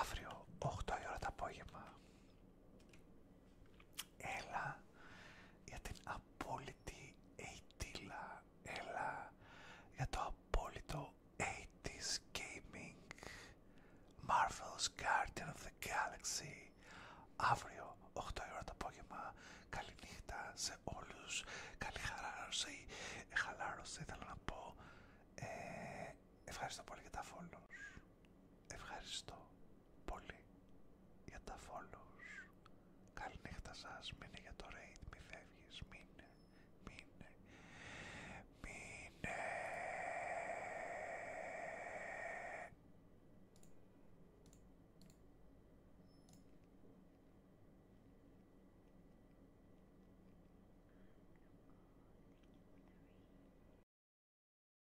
Αύριο, 8 η ώρα το απόγευμα, Έλα για την απόλυτη αιτήλα. Έλα για το απόλυτο 80s gaming. Marvel's Guardian of the Galaxy. Αύριο 8 ώρα το απόγευμα. Καληνύχτα σε όλους. Καλή χαλάρωση. Χαλάρωση θέλω να πω. Ε, ευχαριστώ πολύ για τα follows. Ευχαριστώ πολύ για τα follows. Καληνύχτα σας, μείνε για το raid, μη φεύγεις, μείνε, μείνε, μείνε.